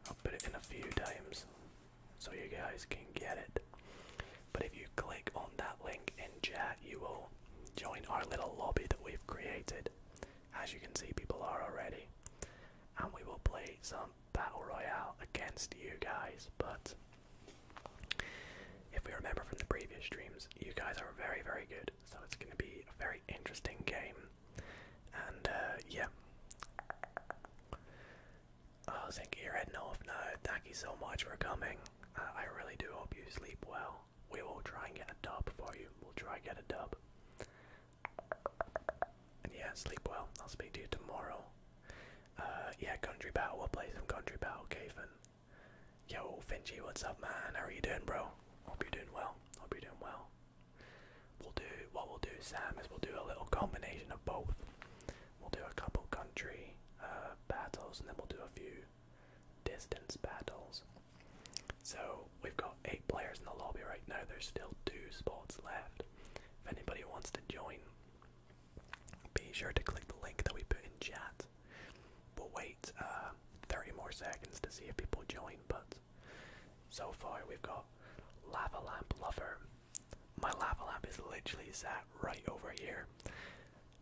I'll put it in a few times so you guys can get it. But if you click on that link in chat, you will join our little lobby that we've created. As you can see, people are already. And we will play some Battle Royale against you guys, but if we remember from the previous streams, you guys are very, very good, so it's going to be a very interesting game. And uh, yeah. I you're heading off Thank you so much for coming. I really do hope you sleep well. We will try and get a dub for you. We'll try and get a dub yeah, sleep well. I'll speak to you tomorrow. Uh, yeah, Country Battle. We'll play some Country Battle, Caven. Yo, Finchy, what's up, man? How are you doing, bro? Hope you're doing well. Hope you're doing well. We'll do what we'll do, Sam, is we'll do a little combination of both. We'll do a couple country uh, battles, and then we'll do a few distance battles. So we've got eight players in the lobby right now. There's still two spots left. If anybody wants to join, be sure to click the link that we put in chat. We'll wait uh, 30 more seconds to see if people join, but so far we've got Lava Lamp Lover. My lava lamp is literally sat right over here.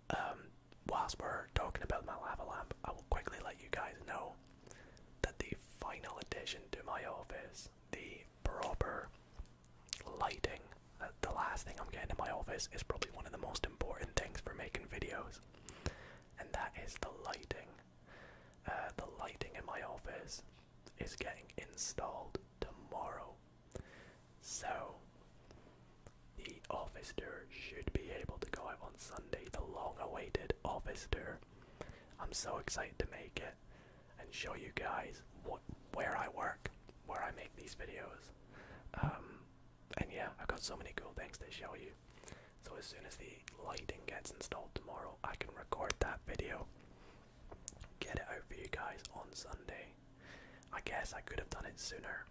Um, whilst we're talking about my lava lamp, I will quickly let you guys know that the final addition to my office the proper lighting. Uh, the last thing I'm getting in my office is probably one of the most important things for making videos, and that is the lighting. Uh, the lighting in my office is getting installed tomorrow, so the office tour should be able to go out on Sunday. The long-awaited office tour. I'm so excited to make it and show you guys where I work, where I make these videos. Um, and yeah, I've got so many cool things to show you. So as soon as the lighting gets installed tomorrow, I can record that video, get it out for you guys on Sunday. I guess I could have done it sooner,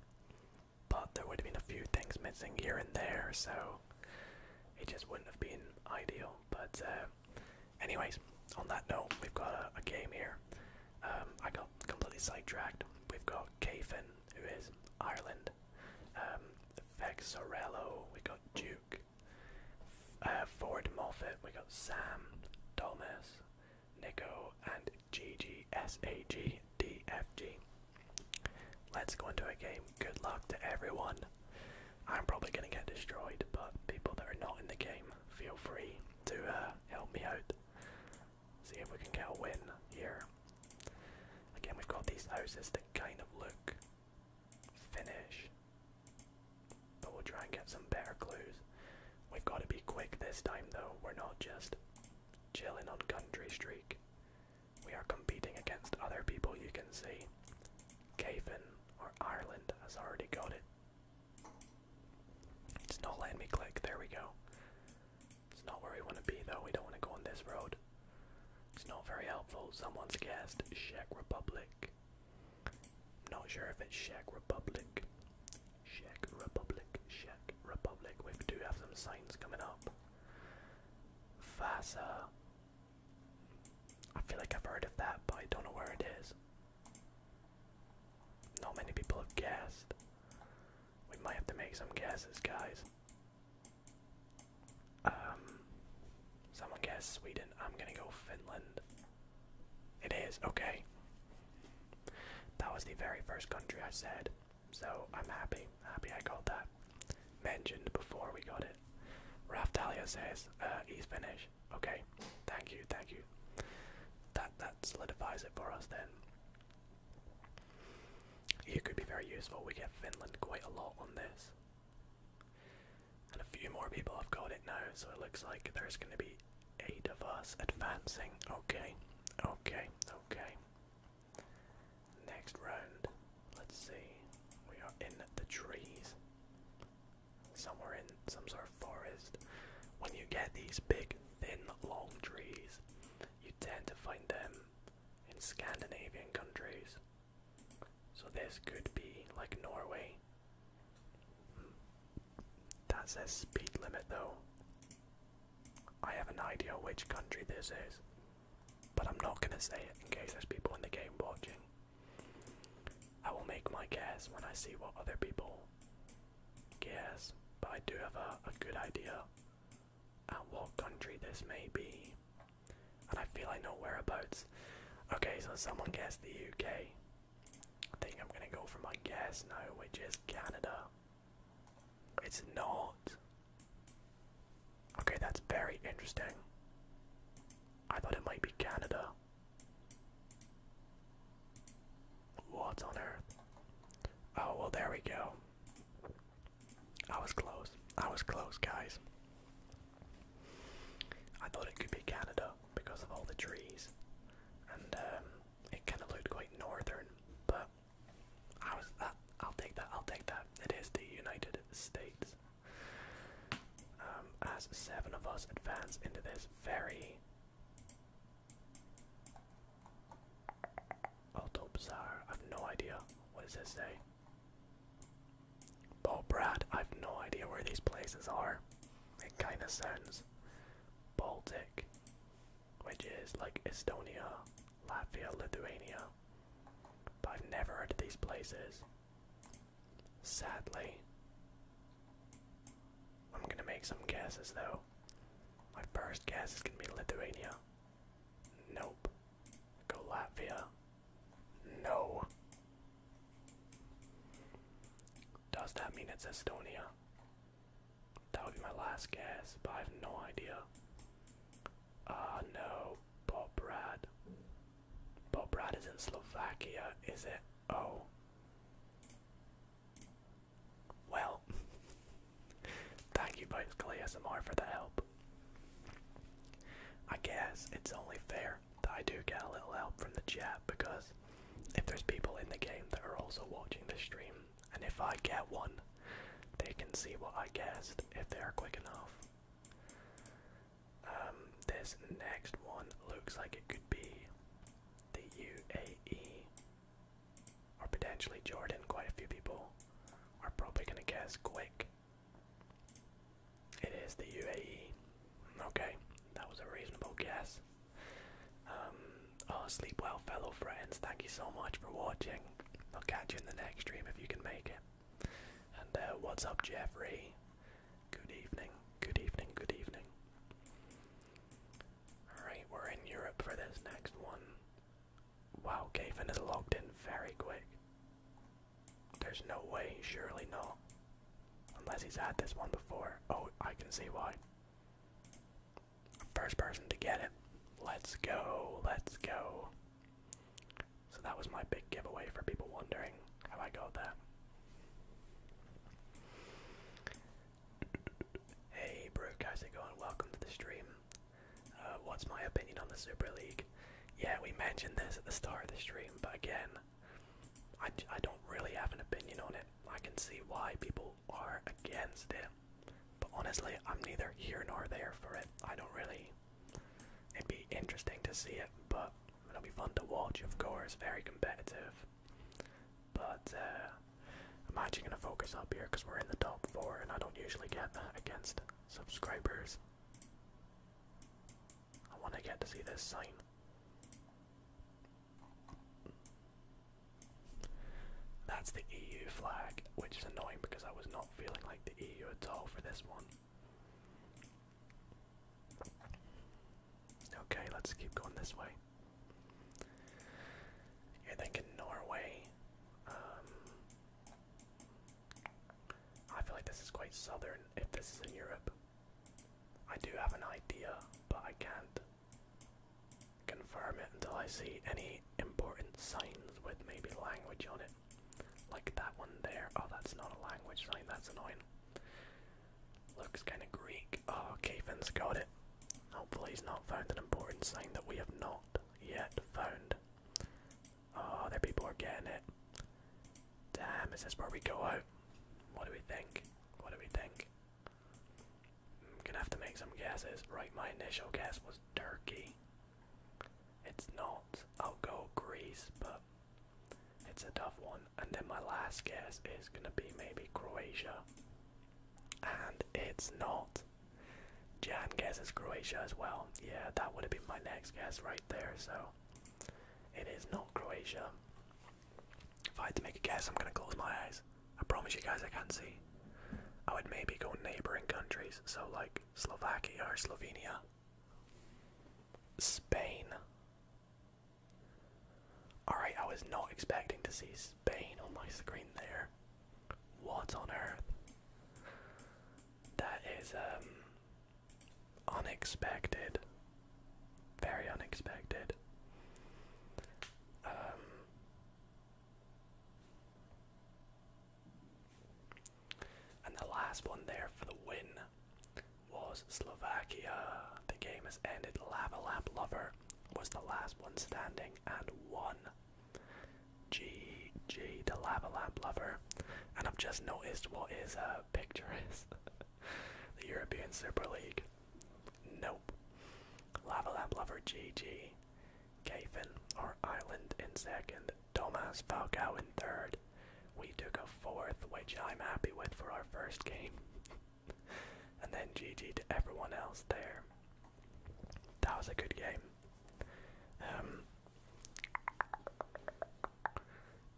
but there would have been a few things missing here and there, so it just wouldn't have been ideal. But uh, anyways, on that note, we've got a, game here. Um, I got completely sidetracked. We've got Cafin, who is Ireland. Um, Vexorello, we got Duke. Uh, Ford Moffat, we got Sam, Thomas, Nico, and GGSAGDFG. Let's go into a game. Good luck to everyone. I'm probably going to get destroyed, but people that are not in the game, feel free to uh, help me out. See if we can get a win here. Again, we've got these houses that kind of look finished, but we'll try and get some better clues. We've got to be quick this time, though. We're not just chilling on Country Streak. We are competing against other people, you can see. Cavan or Ireland has already got it. It's not letting me click. There we go. It's not where we want to be though. We don't want to go on this road. It's not very helpful. Someone's guessed Czech Republic. Not sure if it's Czech Republic. Czech Republic. Czech Republic. We do have some signs coming up. Vasa I feel like I've heard of that, but I don't know where it is. Not many people have guessed. We might have to make some guesses, guys. Um, someone guessed Sweden. I'm gonna go Finland. It is, okay. That was the very first country I said, so I'm happy. Happy I got that. Mentioned before we got it. Raftalia says, uh, he's Finnish. Okay, thank you, thank you. That that solidifies it for us then. It could be very useful. We get Finland quite a lot on this. And a few more people have got it now, so it looks like there's gonna be eight of us advancing. Okay, okay, okay. Next round, let's see. We are in the trees somewhere in some sort of forest. When you get these big, thin, long trees, you tend to find them in Scandinavian countries. So this could be like Norway. That says speed limit though. I have an idea which country this is, but I'm not gonna say it in case there's people in the game watching. I will make my guess when I see what other people guess, but I do have a, good idea at what country this may be. And I feel I know whereabouts. Okay, so someone guessed the UK. I think I'm gonna go for my guess now, which is Canada. It's not. Okay, that's very interesting. I thought it might be Canada now. What on earth? Oh, well, there we go. I was close. I was close, guys. I thought it could be Canada because of all the trees, and um, it can look quite northern. But I was I'll take that. I'll take that. It is the United States. Um, as seven of us advance into this very Alto Bazaar, I've no idea. What does this say? Oh, Brad, I've no idea where these places are. It kinda sounds Baltic, which is like Estonia, Latvia, Lithuania. But I've never heard of these places. Sadly. I'm gonna make some guesses though. My first guess is gonna be Lithuania. Nope. Go No. Does that mean it's Estonia? That would be my last guess, but I have no idea. Ah, uh, no. Bobrad. Bobrad is in Slovakia, is it? Oh. Well. <laughs> Thank you, Bicycle ASMR, for the help. I guess it's only fair that I do get a little help from the chat because if there's people in the game that are also watching the stream, and if I get one, they can see what I guessed if they are quick enough. Um, this next one looks like it could be the UAE or potentially Jordan. Quite a few people are probably going to guess quick. It is the UAE. Okay, that was a reasonable guess. Um, oh, sleep well, fellow friends. Thank you so much for watching. I'll catch you in the next stream if you can make it. And uh, what's up, Jeffrey? Good evening, good evening, good evening. Alright, we're in Europe for this next one. Wow, Gavin is logged in very quick. There's no way, surely not. Unless he's had this one before. Oh, I can see why. First person to get it. Let's go, let's go. So that was my big giveaway for people wondering how I got there. Hey, Brooke, how's it going? Welcome to the stream. Uh, what's my opinion on the Super League? Yeah, we mentioned this at the start of the stream, but again, I, I don't really have an opinion on it. I can see why people are against it, but honestly, I'm neither here nor there for it. I don't really. It'd be interesting to see it, but it'll be fun to watch, of course. Very competitive. But uh, I'm actually going to focus up here because we're in the top four and I don't usually get that against subscribers. I want to get to see this sign. That's the EU flag, which is annoying because I was not feeling like the EU at all for this one. Okay, let's keep going this way. You're thinking Norway. Um, I feel like this is quite southern if this is in Europe. I do have an idea, but I can't confirm it until I see any important signs with maybe language on it. Like that one there. Oh, that's not a language sign, that's annoying. Looks kinda Greek. Oh, Kevin's got it. Hopefully he's not found an important sign that we have not yet found. Oh, there people are getting it. Damn, is this where we go out? What do we think? What do we think? I'm gonna have to make some guesses. Right, my initial guess was Turkey. It's not. I'll go Greece, but it's a tough one. And then my last guess is going to be maybe Croatia. And it's not. Jan guesses Croatia as well. Yeah, that would have been my next guess right there. So it is not Croatia. If I had to make a guess, I'm going to close my eyes. I promise you guys I can't see. I would maybe go neighboring countries. So like Slovakia or Slovenia. Spain. Alright, I was not expecting to see Spain on my screen there. What on earth? That is um, unexpected. Very unexpected. Um, and the last one there for the win was Slovakia. The game has ended. Lava Lover was the last one standing and won. GG, the Lava Lover. And I've just noticed what uh, is a <laughs> picturesque. the European Super League. Nope. Lava Lap Lover GG. Gafin, our Island, in second. Thomas Falcao in third. We took a fourth, which I'm happy with for our first game. <laughs> and then GG to everyone else there. That was a good game. Um,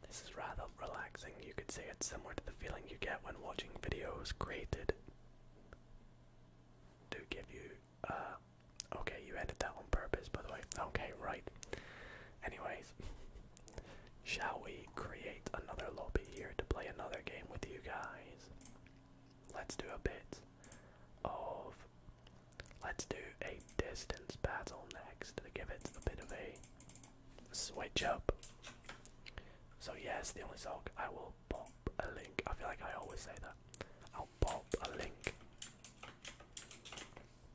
this is rather relaxing. You could say it's similar to the feeling you get when watching videos created to give you. Uh, okay, you edit that on purpose, by the way. Okay, right. Anyways, <laughs> Shall we create another lobby here to play another game with you guys? Let's do a bit of. Let's do a distance battle next to give it a bit of a switch up. So, yes, the only song I will pop a link. I feel like I always say that. I'll pop a link.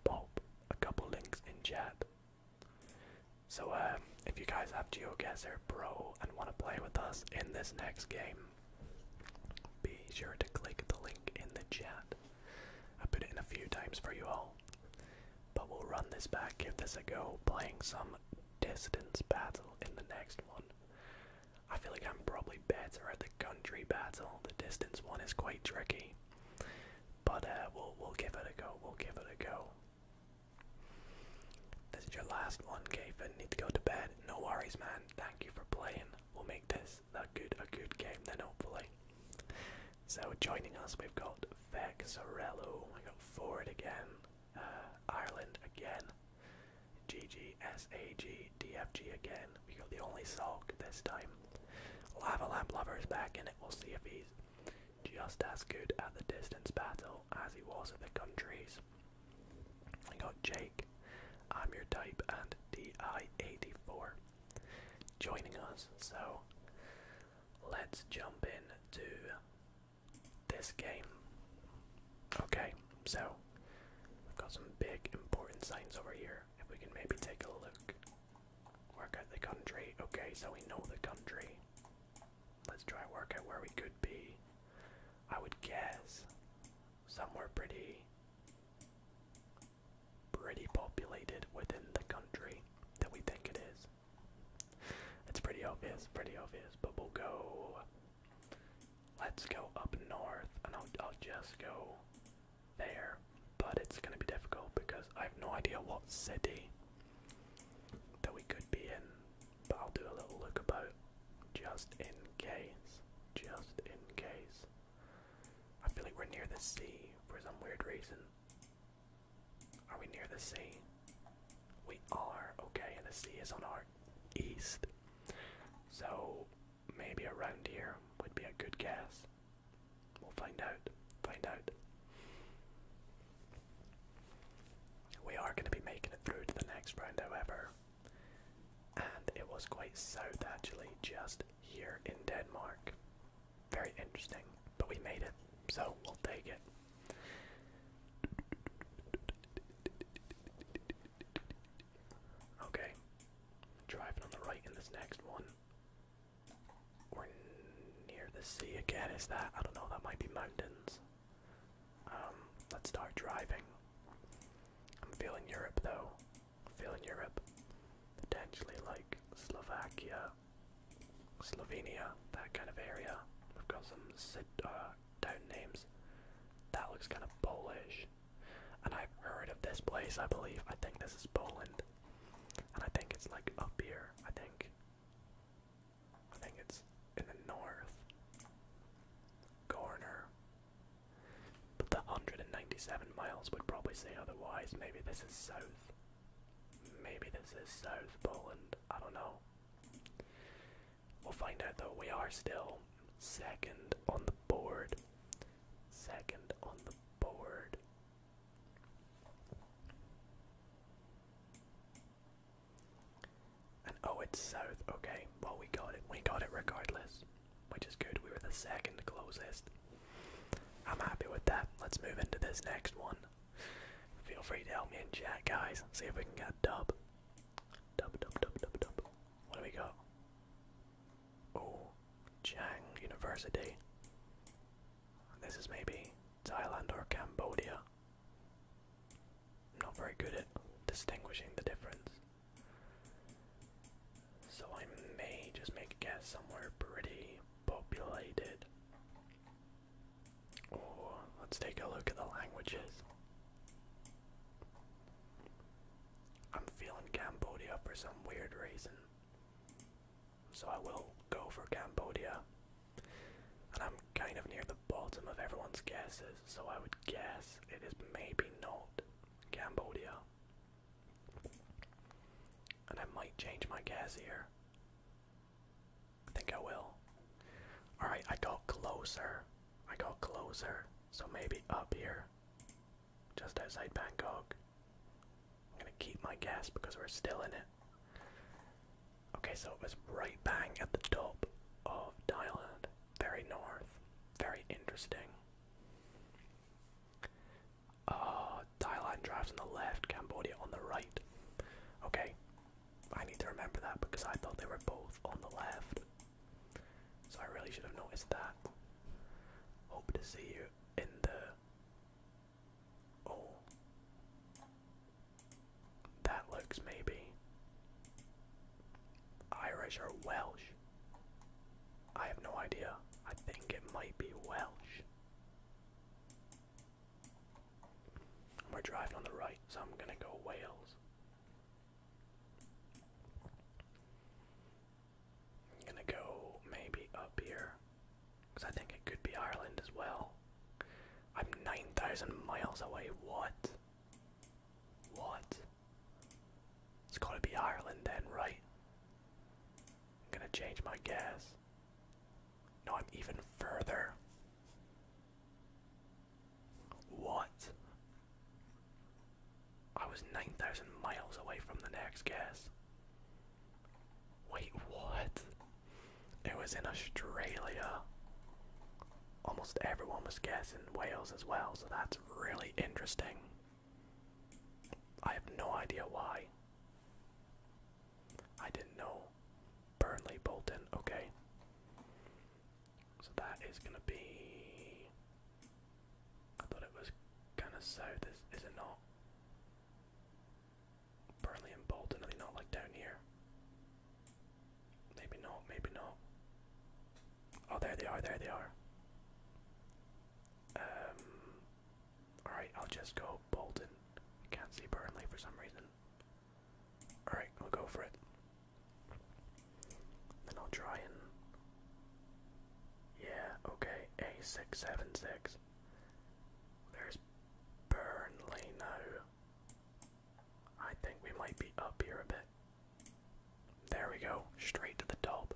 Pop a couple links in chat so, uh, if you guys have GeoGuessr Pro and want to play with us in this next game, be sure to click the link in the chat. I put it in a few times for you all. But we'll run this back, give this a go, playing some distance battle in the next one. I feel like I'm probably better at the country battle. The distance one is quite tricky. But uh, we'll, we'll give it a go, we'll give it a go. This is your last one, Gavin. Need to go to bed. No worries, man. Thank you for playing. We'll make this a good a good game then, hopefully. So joining us, we've got Vexarello. We got Ford again. Uh, Ireland again. GGSAG DFG again. We got the only Salk this time. Lava Lamp Lover's back in We'll see if he's just as good at the distance battle as he was at the countries. I got Jake, I'm your type, and DI84 joining us. So let's jump in to this game. Okay, so we've got some big important signs over here. If we can maybe take a look. Work at the country. Okay, so we know the country. Let's try and work out where we could be. I would guess somewhere pretty pretty populated within the country that we think it is. It's pretty obvious, pretty obvious, but we'll go let's go up north and I'll just go there. But it's gonna be difficult because I have no idea what city that we could be in, but I'll do a little look just in case. Just in case. I feel like we're near the sea for some weird reason. Are we near the sea? We are, okay, and the sea is on our east. So maybe around here would be a good guess. We'll find out. Find out. We are going to be making it through to the next round, however. And it was quite south actually, just here in Denmark. Very interesting, but we made it, so we'll take it. Okay, driving on the right in this next one. We're near the sea again, is that? I don't know, that might be mountains. Um, let's start driving. I'm feeling Europe though. I'm feeling Europe. Potentially like Slovakia, Slovenia, that kind of area. We've got some uh, town names. That looks kind of Polish. And I've heard of this place, I believe. I think this is Poland. And I think it's like up here. I think I think it's in the north. Corner. But the 197 miles would probably say otherwise. Maybe this is south. Maybe this is South Poland. I don't know. We'll find out though. We are still second on the board. Second on the board. And oh, it's south. Okay, well, we got it. We got it regardless, which is good. We were the second closest. I'm happy with that. Let's move into this next one. Feel free to help me in chat, guys. See if we can get a dub. Dub, dub, dub, dub, dub. What do we got? Oh, Chang University. This is maybe Thailand or Cambodia. I'm not very good at distinguishing the difference. So I may just make a guess somewhere pretty populated. Or let's take a look at the languages. I'm feeling Cambodia for some weird reason. So I will go for Cambodia and I'm kind of near the bottom of everyone's guesses, so I would guess it is maybe not Cambodia. And I might change my guess here. I think I will. Alright, I got closer. I got closer. So maybe up here. Just outside Bangkok. I'm gonna keep my guess because we're still in it. Okay, so it was right bang at the top of Thailand. Very north. Very interesting. Uh, Thailand drives on the left, Cambodia on the right. Okay, I need to remember that because I thought they were both on the left. So I really should have noticed that. Hope to see you in the. Oh. That looks maybe. Irish or Welsh? I have no idea. I think it might be Welsh. We're driving on the right, so I'm gonna go Wales. I'm gonna go maybe up here, because I think it could be Ireland as well. I'm 9,000 miles away. What? What? It's gotta be Ireland then, right? I'm gonna change my guess. No, I'm even further. What? I was 9,000 miles away from the next gas. Wait, what? It was in Australia. Almost everyone was guessing Wales as well, so that's really interesting. I have no idea why. I didn't know. Burnley Bolton, okay. So that is gonna be. I thought it was gonna so. This is it not? Burnley and Bolton, are they not like down here? Maybe not, maybe not. Oh, there they are, there they are. Um, Alright, I'll just go Bolton. Can't see Burnley for some reason. Alright, we'll go for it. Then I'll try and. Yeah, okay, A676. There's Burnley now. I think we might be up here a bit. There we go, straight to the top.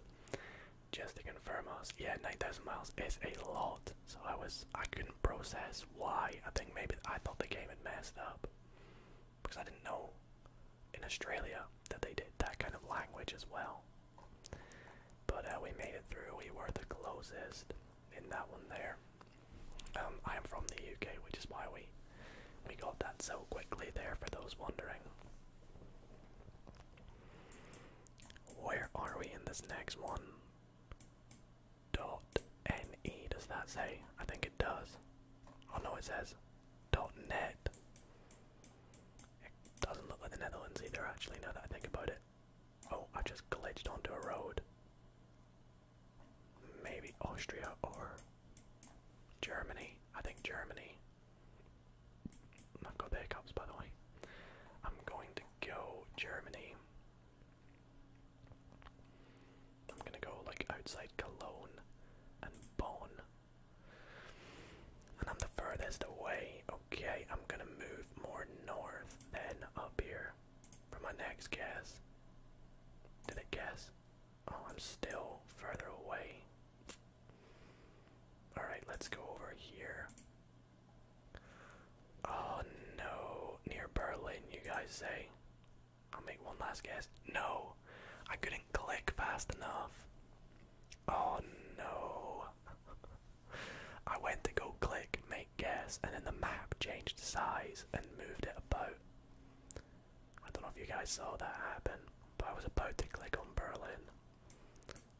Just to confirm us, yeah, 9,000 miles is a lot. So I was, I couldn't process why. I think maybe I thought the game had messed up because I didn't know in Australia that they did that kind of language as well. But uh, we made it through. We were the closest in that one there. Um, I am from the UK, which is why we we got that so quickly there for those wondering. Where are we in this next one? Dot NE, does that say? I think it does. Oh no, it says dot net. It doesn't look like the Netherlands either, actually, now that I think about it. Oh, I just glitched onto a road maybe Austria or Germany. I think Germany. i got the by the way. I'm going to go Germany. I'm gonna go like outside Cologne and Bonn. And I'm the furthest away. Okay, I'm gonna move more north than up here for my next guess. Did I guess? Oh, I'm still further away. Alright, let's go over here. Oh no, near Berlin, you guys say. I'll make one last guess. No, I couldn't click fast enough. Oh no. <laughs> I went to go click, make guess, and then the map changed size and moved it about. I don't know if you guys saw that happen, but I was about to click on Berlin.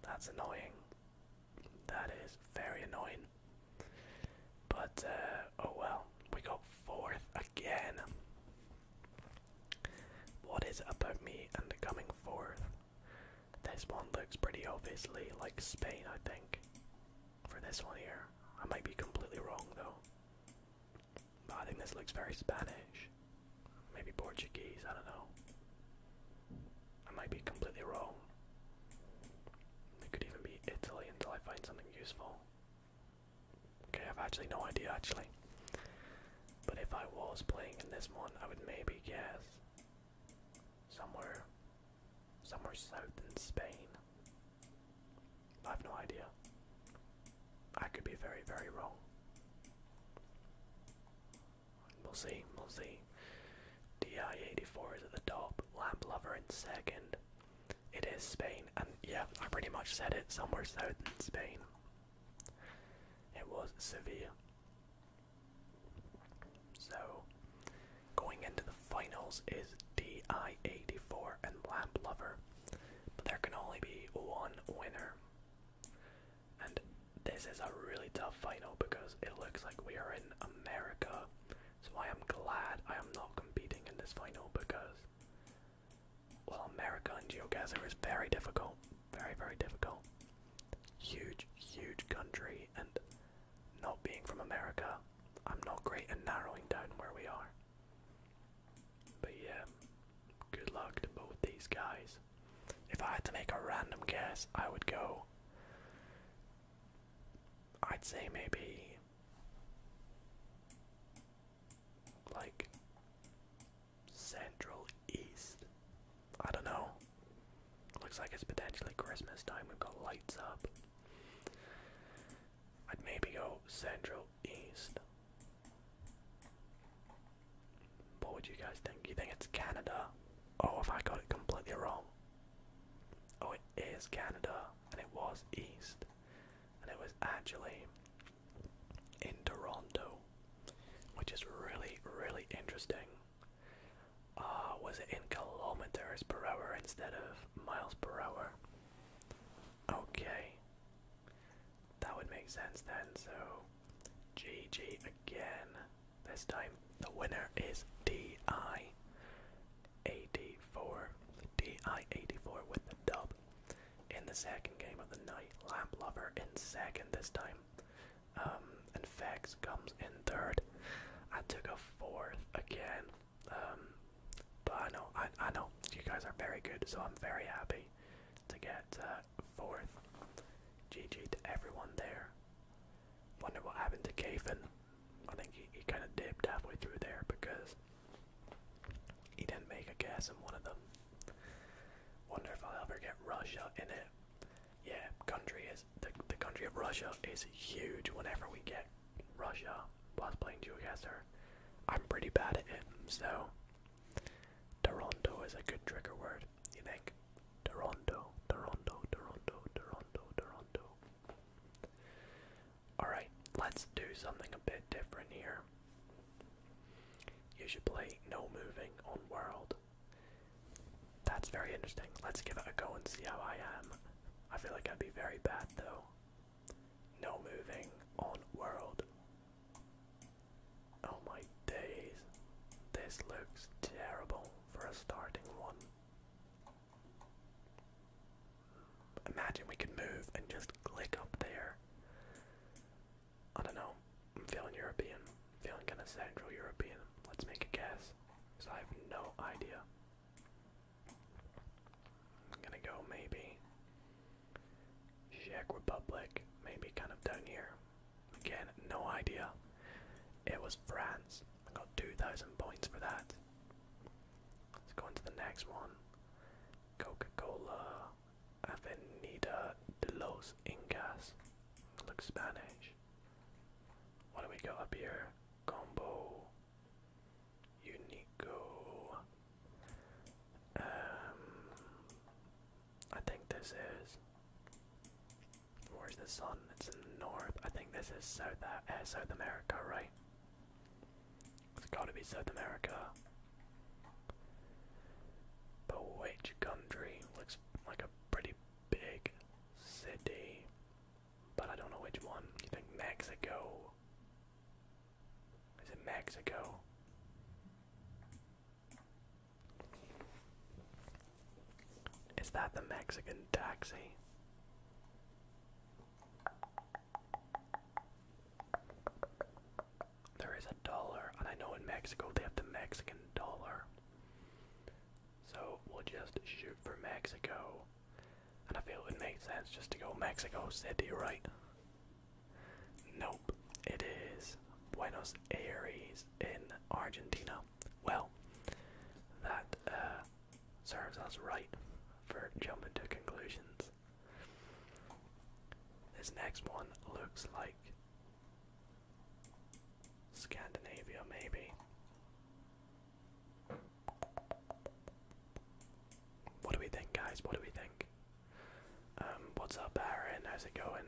That's annoying. That is very annoying. But, uh, oh well, we got fourth again. What is about me and coming fourth? This one looks pretty obviously like Spain, I think. For this one here. I might be completely wrong though. I think this looks very Spanish. Maybe Portuguese, I don't know. I might be completely wrong. It could even be Italy until I find something useful. Okay, I've actually no idea actually. But if I was playing in this one, I would maybe guess somewhere somewhere south in Spain. I have no idea. I could be very, very wrong. We'll see, we'll see. DI84 is at the top, Lamp Lover in second. It is Spain, and yeah, I pretty much said it somewhere south in Spain. It was Sevilla. So, going into the finals is DI84 and Lamp Lover, but there can only be one winner. And this is a really tough final because it looks like we are in America. So I am glad I am not competing in this final because, well, America and GeoGuessr is very difficult. Very, very difficult. Huge, huge country, and not being from America, I'm not great at narrowing down where we are. But yeah, good luck to both these guys. If I had to make a random guess, I would go. I'd say maybe. Like. Central East. I don't know. Looks like it's potentially Christmas time. We've got lights up. I'd maybe go Central East. What would you guys think? You think it's Canada? Oh, if I got it completely wrong. Oh, it is Canada, and it was East, and it was actually in Toronto, which is really, really interesting. Uh, was it in kilometers per hour instead of miles per hour? Okay. That would make sense then, so GG again. This time the winner is DI84. DI84 with the dub. In the second game of the night, Lamp Lover in second this time. Um, and Fex comes in third. I took a fourth again. Um, but I know, I, I know you guys are very good, so I'm very happy to get uh, fourth. GG to everyone there. Wonder what happened to Kafin. I think he, he kind of dipped halfway through there because he didn't make a guess in one of them. Wonder if I'll ever get Russia in it. Yeah, country is the the country of Russia is huge. Whenever we get Russia was playing Geocaster. I'm pretty bad at it, so Toronto is a good trigger word, you think? Toronto, Toronto, Toronto, Toronto, Toronto. Alright, let's do something a bit different here. You should play No Moving on World. That's very interesting. Let's give it a go and see how I am. I feel like I'd be very bad though. No moving on world. Oh my days. This looks terrible for a starting one. Imagine we could move and just click up there. I don't know. I'm feeling European. I'm feeling kind of Central European. Let's make a guess. Because I have no idea. I'm gonna go maybe Czech Republic, maybe kind of done here. Again, no idea. It was France. I got 2,000 points for that. Let's go into the next one. Coca-Cola Avenida de los Incas. Looks Spanish. What do we got up here? Combo Unico. Um, I think this is. Where's the sun? It's in the north. I think this is South uh, uh South America, right? It's got to be South America. But which country looks like a pretty big city? But I don't know which one. You think Mexico? Is it Mexico? Is that the Mexican taxi? There is a dollar, and I know in Mexico they have the Mexican dollar. So we'll just shoot for Mexico. And I feel it would make sense just to go Mexico City, right? Nope, it is Buenos Aires in Argentina. Well, that uh, serves us right for jumping to conclusions. This next one looks like Scandinavia, maybe. What do we think, guys? What do we think? Um, what's up, Aaron? How's it going?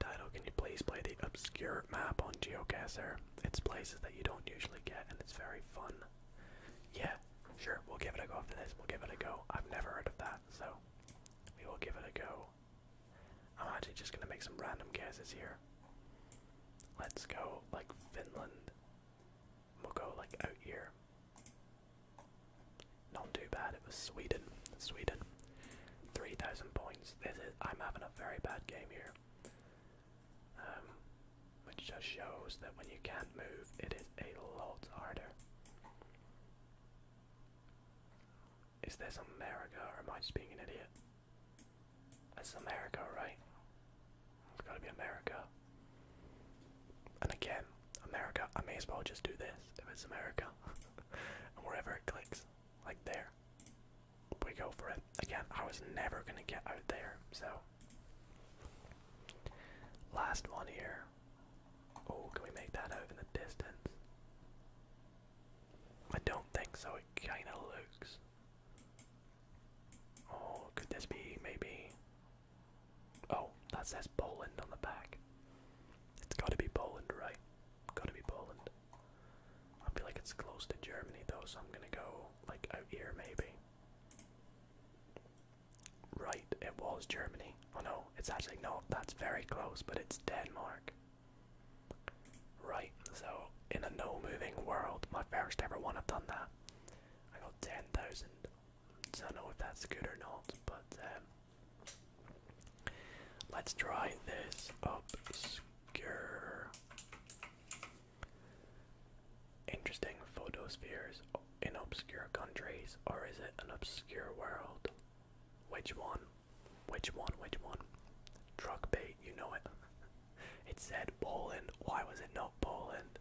Title, can you please play the obscure map on Geocaser? It's places that you don't usually get and it's very fun. Yeah, sure, we'll give it a go after this. We'll give it a go. I've never heard of that, so we will give it a go. I'm actually just gonna make some random guesses here. Let's go like Finland. We'll go like out here. Not too bad. It was Sweden. Sweden. 3,000 points. This is. I'm having a very bad game here. Um, which just shows that when you can't move, it is a lot harder. Is this America or am I just being an idiot? That's America, right? It's gotta be America. And again, America, I may as well just do this if it's America. <laughs> and wherever it clicks, like there, we go for it. Again, I was never gonna get out there, so. Last one here. Oh, can we make that out in the distance? I don't think so, it kinda looks. Oh, could this be maybe Oh, that says Poland on the back. It's gotta be Poland, right? Gotta be Poland. I feel like it's close to Germany though, so I'm gonna go like out here maybe. Right, it was Germany. Oh no, it's actually no, that's very close, but it's Denmark. Right, so in a no moving world, my first ever one I've done that. I got ten thousand I don't know if that's good or not, but um, let's try this obscure. Interesting photospheres in obscure countries, or is it an obscure world? Which one? Which one? Which one? Truck bait, you know it. <laughs> it said Poland. Why was it not Poland?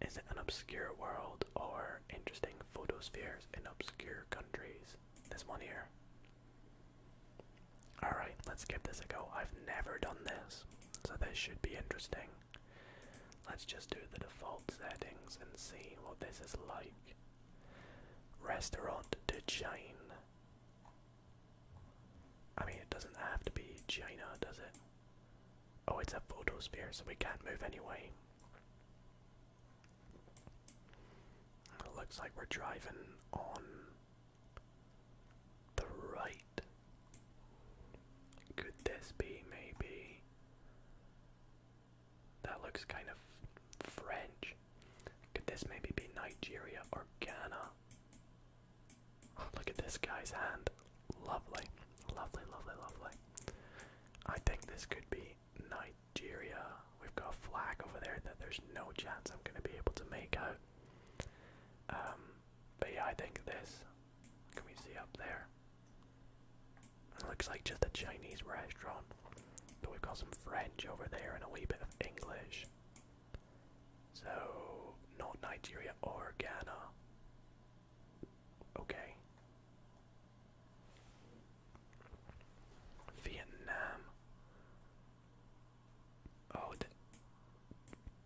Is it an obscure world or interesting photospheres in obscure countries? This one here. Alright, let's give this a go. I've never done this, so this should be interesting. Let's just do the default settings and see what this is like. Restaurant to China. I mean, it doesn't have to be China, does it? Oh, it's a photosphere, so we can't move anyway. It looks like we're driving on the right. Could this be maybe? That looks kind of French. Could this maybe be Nigeria or Ghana? look at this guy's hand. Lovely, lovely, lovely, lovely. I think this could be Nigeria. We've got a flag over there that there's no chance I'm going to be able to make out. Um, but yeah, I think this. Can we see up there? looks like just a Chinese restaurant. But we've got some French over there and a wee bit of English. So, not Nigeria or Ghana. Okay. Vietnam. Oh, did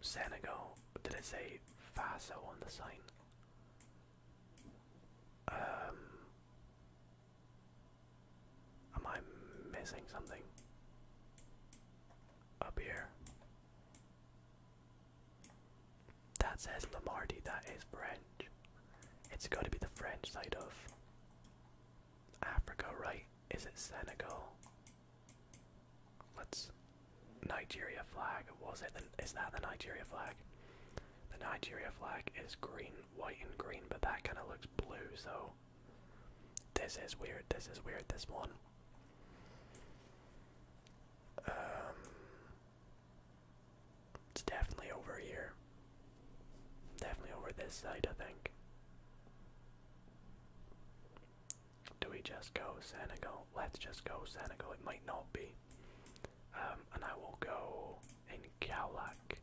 Senegal. Did it say Faso on the sign? Um. Am I missing something? Up here. That says Lombardy, that is French. It's got to be the French side of Africa, right? Is it Senegal? let Nigeria flag, was it? is that the Nigeria flag? The Nigeria flag is green, white, and green, but that kind of looks blue, so. This is weird, this is weird, this one. Um, it's definitely over here. Definitely over this side, I think. Do we just go Senegal? Let's just go Senegal. It might not be. Um, and I will go in Kaulak.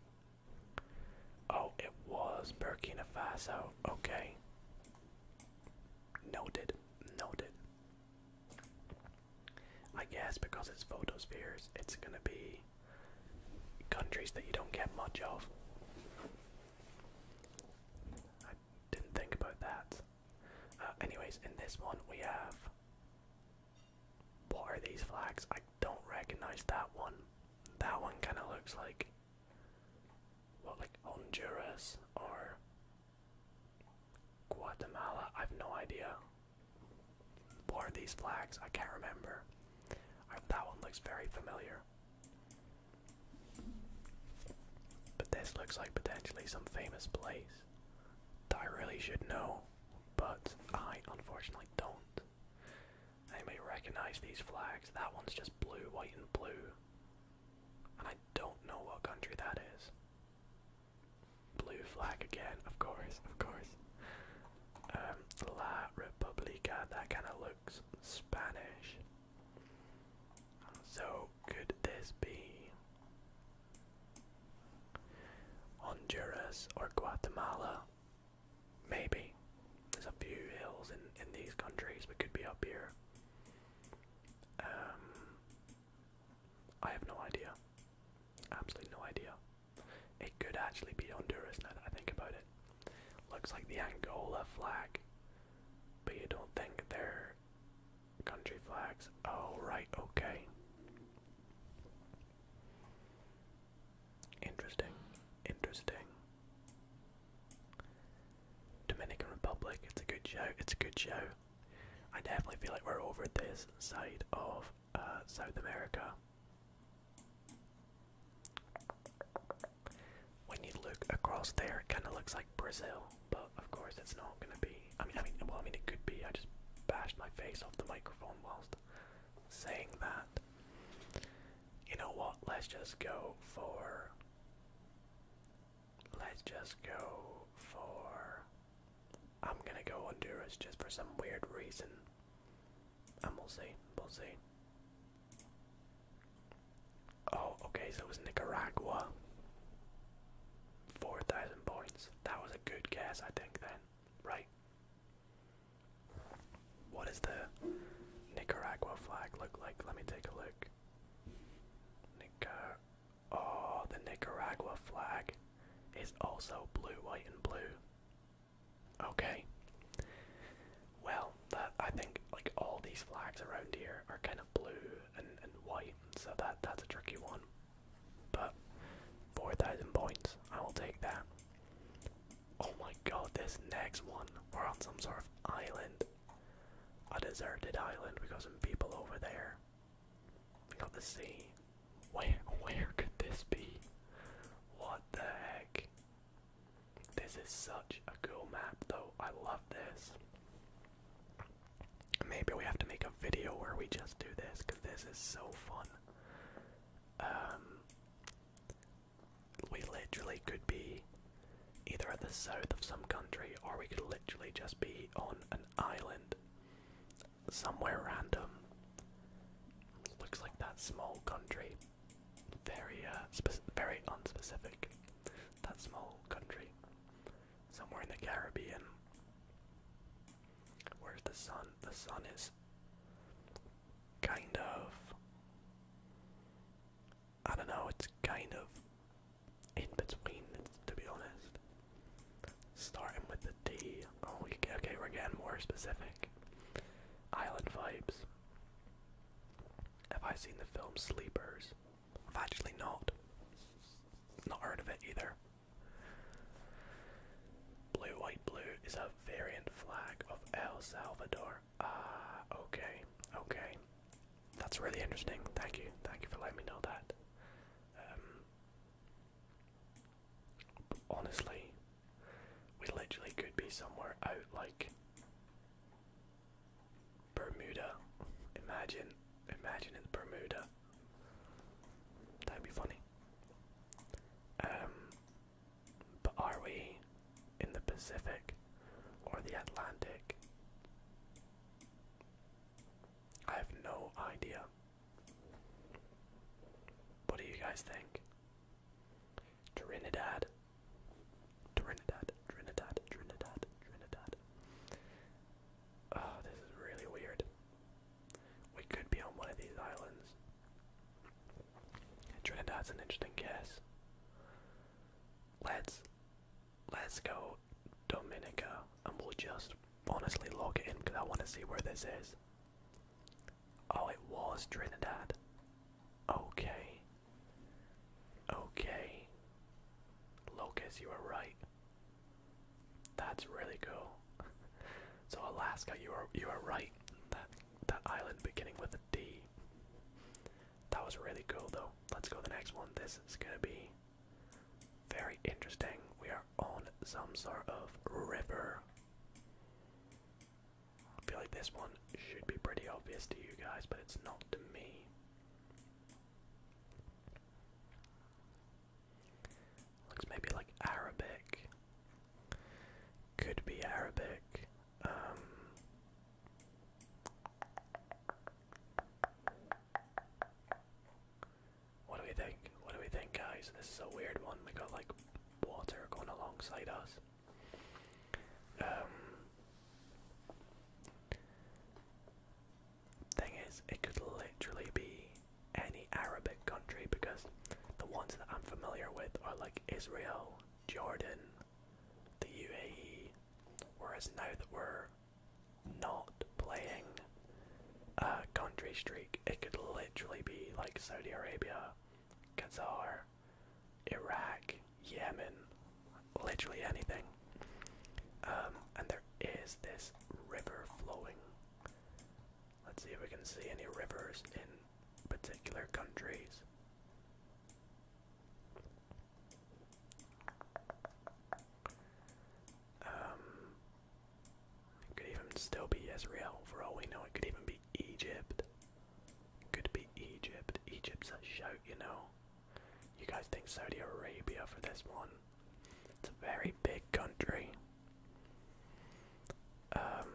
Oh, it was Burkina Faso. Okay. Noted. Noted. I guess because it's photospheres, it's gonna be countries that you don't get much of. I didn't think about that. Uh, anyways, in this one we have. What are these flags? I don't recognize that one. That one kind of looks like. What, like Honduras or Guatemala, I've no idea. What are these flags? I can't remember. that one looks very familiar. But this looks like potentially some famous place that I really should know, but I unfortunately don't. I may recognize these flags. That one's just blue, white, and blue. I don't know what country that is. Blue flag again, of course, of course. Um, La Republica, that kind of looks Spanish. So, could this be Honduras or Guatemala? Maybe. There's a few hills in, in these countries, we could be up here. Um, I have no idea. Absolutely no idea. It could actually be Honduras now that I think about it. Looks like the Angola flag, but you don't think they're country flags. Oh, right, okay. Interesting, interesting. Dominican Republic, it's a good show, it's a good show. I definitely feel like we're over this side of uh, South America. When you look across there, it kind of looks like Brazil, but of course it's not going to be. I mean, I mean, well, I mean, it could be. I just bashed my face off the microphone whilst saying that. You know what? Let's just go for Let's just go for. I'm gonna go Honduras just for some weird reason. And we'll see. We'll see. Oh, okay, so it was Nicaragua. 4,000 points. That was a good guess, I think, then. Right. What does the Nicaragua flag look like? Let me take a look. Nicar. Oh, the Nicaragua flag is also blue, white, and blue. Okay. Well, I think like all these flags around here are kind of blue and, and white, so that that's a tricky one. But 4,000 points, I will take that. Oh my god, this next one. We're on some sort of island. A deserted island. We've got some people over there. We got the sea. Where where could this be? What the heck? This is such a cool map though. I love this. Maybe we have to make a video where we just do this this is so fun. Um we literally could be either at the south of some country or we could literally just be on island somewhere random. Looks like that small country. Very, uh, very unspecific. That small country. Somewhere in the Caribbean. Where's the sun? The sun is kind of. I don't know, it's kind of in between, to be honest. Starting with the D. Oh, okay, we're getting more specific. Island vibes. Have I seen the film Sleepers? I've actually not. Not heard of it either. Blue, white, blue is a variant flag of El Salvador. Ah, okay, okay. That's really interesting. Thank you. Thank you for letting me know that. Um, honestly, we literally could be somewhere out like Bermuda. Imagine, imagine it's Bermuda. That'd be funny. Um, but are we in the Pacific or the Atlantic? I have no idea. What do you guys think? Trinidad. Trinidad, Trinidad, Trinidad, Trinidad. Oh, this is really weird. We could be on one of these islands. Trinidad's an interesting guess. Let's let's go Dominica and we'll just honestly log it in because I want to see where this is. Oh, it was Trinidad. Okay. Okay. Locus, you were right. That's really cool. <laughs> so Alaska, you are you are right. That that island beginning with a D. That was really cool though. Let's go to the next one. This is gonna be very interesting. We are on some sort of river. I feel like this one should be pretty obvious to you guys, but it's not to me. Looks maybe like Arabic. Could be Arabic. Um, what do we think? What do we think, guys? This is a weird one. We got like water going alongside us. Um, thing is, it could literally be any Arabic country because the ones that I'm familiar with are like Israel, Jordan, the UAE. Whereas now that we're not playing a country streak. It could literally be like Saudi Arabia, Qatar, Iraq, Yemen, literally anything. Um, and there is this river flowing. Let's see if we can see any rivers in particular countries. Um, it could even still be Israel for all we know. It could even be Egypt. could be Egypt. Egypt's a shout, you know. You guys think Saudi Arabia for this one? It's a very big country. Um,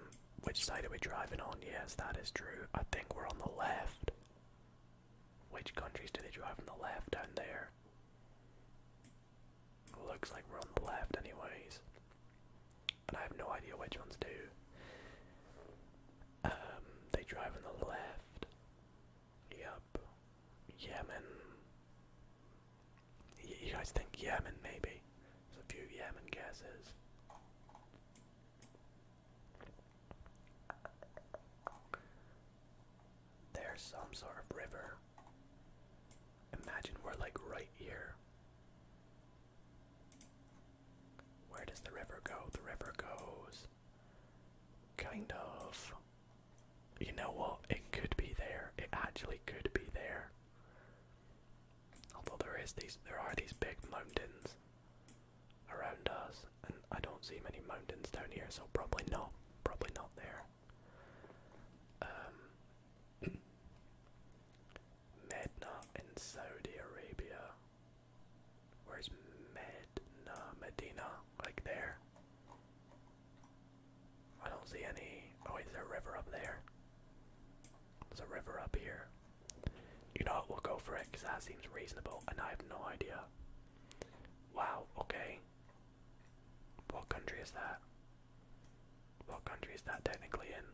which side are we driving on? Yes, that is true. I think we're on the left. Which countries do they drive on the left down there? Looks like we're on the left, anyways. And I have no idea which ones do. Um, they drive on the left. Yep. Yemen. you guys think Yemen, maybe? There's a few Yemen guesses. There's some sort of river. Imagine we're like right here. Where does the river go? The river goes kind of. You know what? It could be there. It actually could be there. Although there is these, there are these big mountains around us, and I don't see many mountains down here, so probably not. Probably not there. Um, <clears throat> Medina in Saudi Arabia. Where's Medina? Medina, like there. I don't see any. Oh, wait, there's a river up there. There's a river up here. You know what? We'll go for it because that seems reasonable, and I have no idea. Wow, okay. What country is that? What country is that technically in?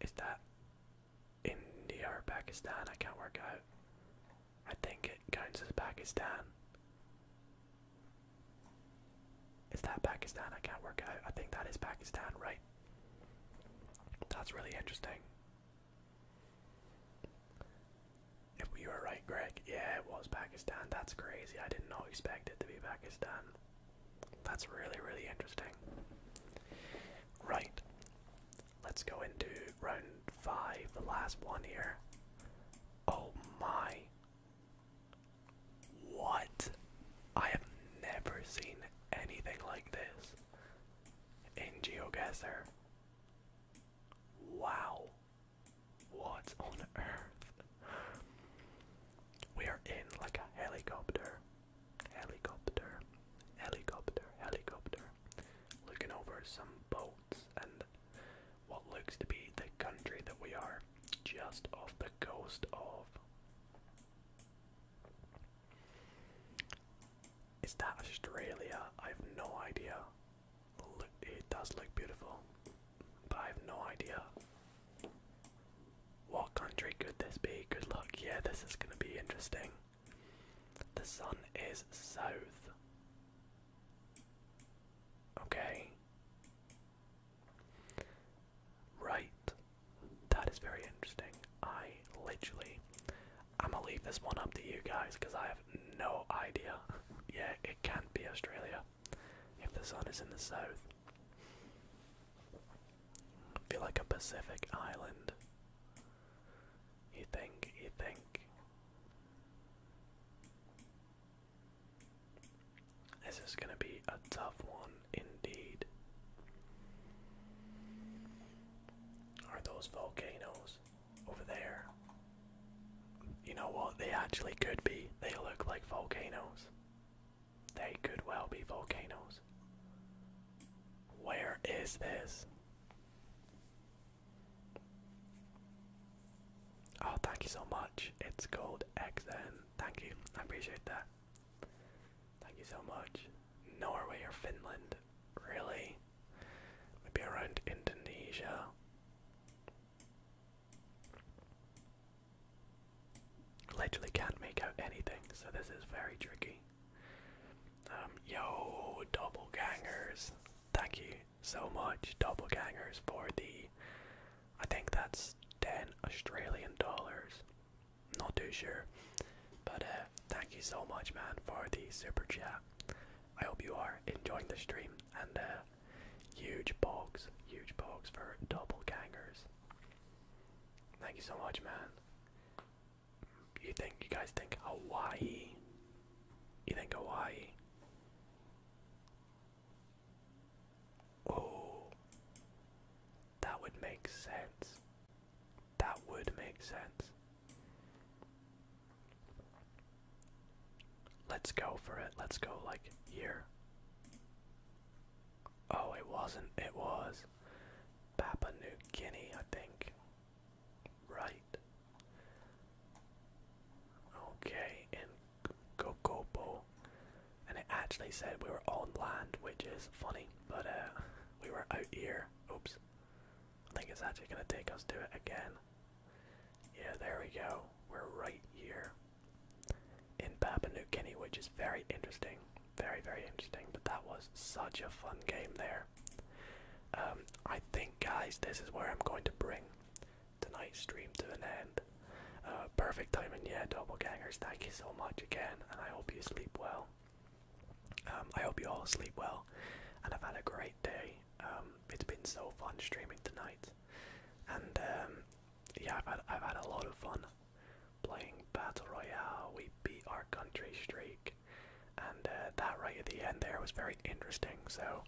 Is that India or Pakistan? I can't work out. I think it counts as Pakistan. Is that Pakistan? I can't work out. I think that is Pakistan, right? That's really interesting. If we were right, Greg. Yeah, it was Pakistan. That's crazy. I did not expect it to be Pakistan. That's really, really interesting. Right. Let's go into round five, the last one here. Oh my. What? I have never seen anything like this in GeoGuessr. Wow. What on earth? We are in like a helicopter. Helicopter. Helicopter. Helicopter. Looking over some boats and what looks to be the country that we are just off the coast of. Is that Australia? I have no idea. It does look beautiful, but I have no idea. What country could this be? Good luck. Yeah, this is going to be interesting. The sun is south. Okay. Right. That is very interesting. I literally. I'm gonna leave this one up to you guys because I have no idea. <laughs> Yeah, it can't be Australia if the sun is in the south. feel like a Pacific island. You think, you think. This is going to be a tough one indeed. Are those volcanoes? over there. You know what? They actually could be. They look like volcanoes. They could well be volcanoes. Where is this? Oh, thank you so much. It's called XN. Thank you. I appreciate that. Thank you so much. Norway or Finland? Really? Maybe around Indonesia. Literally can't make out anything, so this is very tricky. Um, yo, gangers, Thank you so much, double gangers, for the. I think that's ten Australian dollars. Not too sure, but uh, thank you so much, man, for the super chat. I hope you are enjoying the stream, and uh, Huge box, huge box for double gangers. Thank you so much, man. You think you guys think Hawaii? You think Hawaii? Oh, that would make sense. That would make sense. Let's go for it. Let's go like here. Oh, it wasn't. It was Papua New Guinea, I think. Right. Okay, in Kokopo. And it actually said we were on land, which is funny, but uh, we were out here. Oops. I think it's actually going to take us to it again. Yeah, there we go. We're right here in Papua New Guinea, which is very interesting. Very, very interesting. But that was such a fun game there. Um, I think, guys, this is where I'm going to bring tonight's stream to an end. Uh, perfect timing, yeah, double gangers. Thank you so much again, and I hope you sleep well. Um, I hope you all sleep well, and I've had a great day. Um, it's been so fun streaming tonight and um, yeah, I've had I've had a lot of fun playing battle royale. We beat our country streak, and uh, that right at the end there was very interesting. So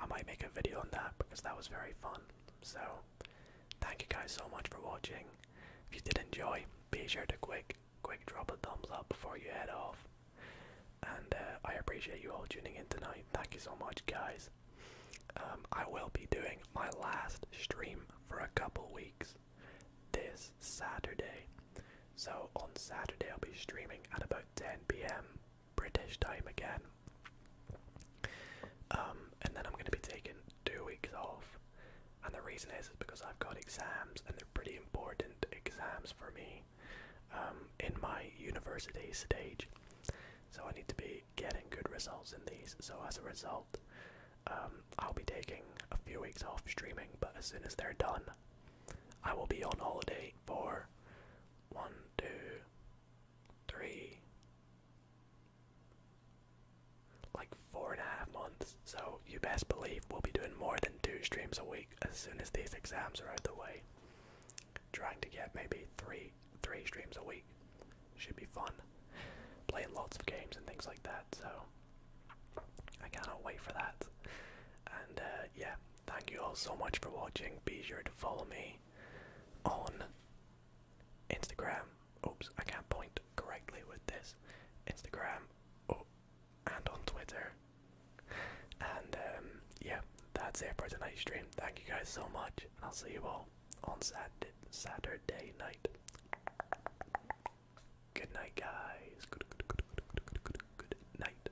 I might make a video on that because that was very fun. So thank you guys so much for watching. If you did enjoy, be sure to quick quick drop a thumbs up before you head off and uh, I appreciate you all tuning in tonight. Thank you so much, guys. Um, I will be doing my last stream for a couple weeks this Saturday. So on Saturday, I'll be streaming at about 10 p.m. British time again. Um, and then I'm going to be taking two weeks off. And the reason is, is because I've got exams and they're pretty important exams for me. Um, in my university stage. So I need to be getting good results in these. So as a result, um, I'll be taking a few weeks off streaming, but as soon as they're done, I will be on holiday for one, two, three, like four and a half months. So you best believe we'll be doing more than two streams a week as soon as these exams are out of the way. Trying to get maybe three three streams a week. Should be fun. Playing lots of games and things like that, so I cannot wait for that. And uh, yeah, thank you all so much for watching. Be sure to follow me on Instagram. Oops, I can't point correctly with this. Instagram oh, and on Twitter. And um, yeah, that's it for tonight's stream. Thank you guys so much, and I'll see you all on Saturday, night. Good night, guys. good, good, good, good, good, good, good night.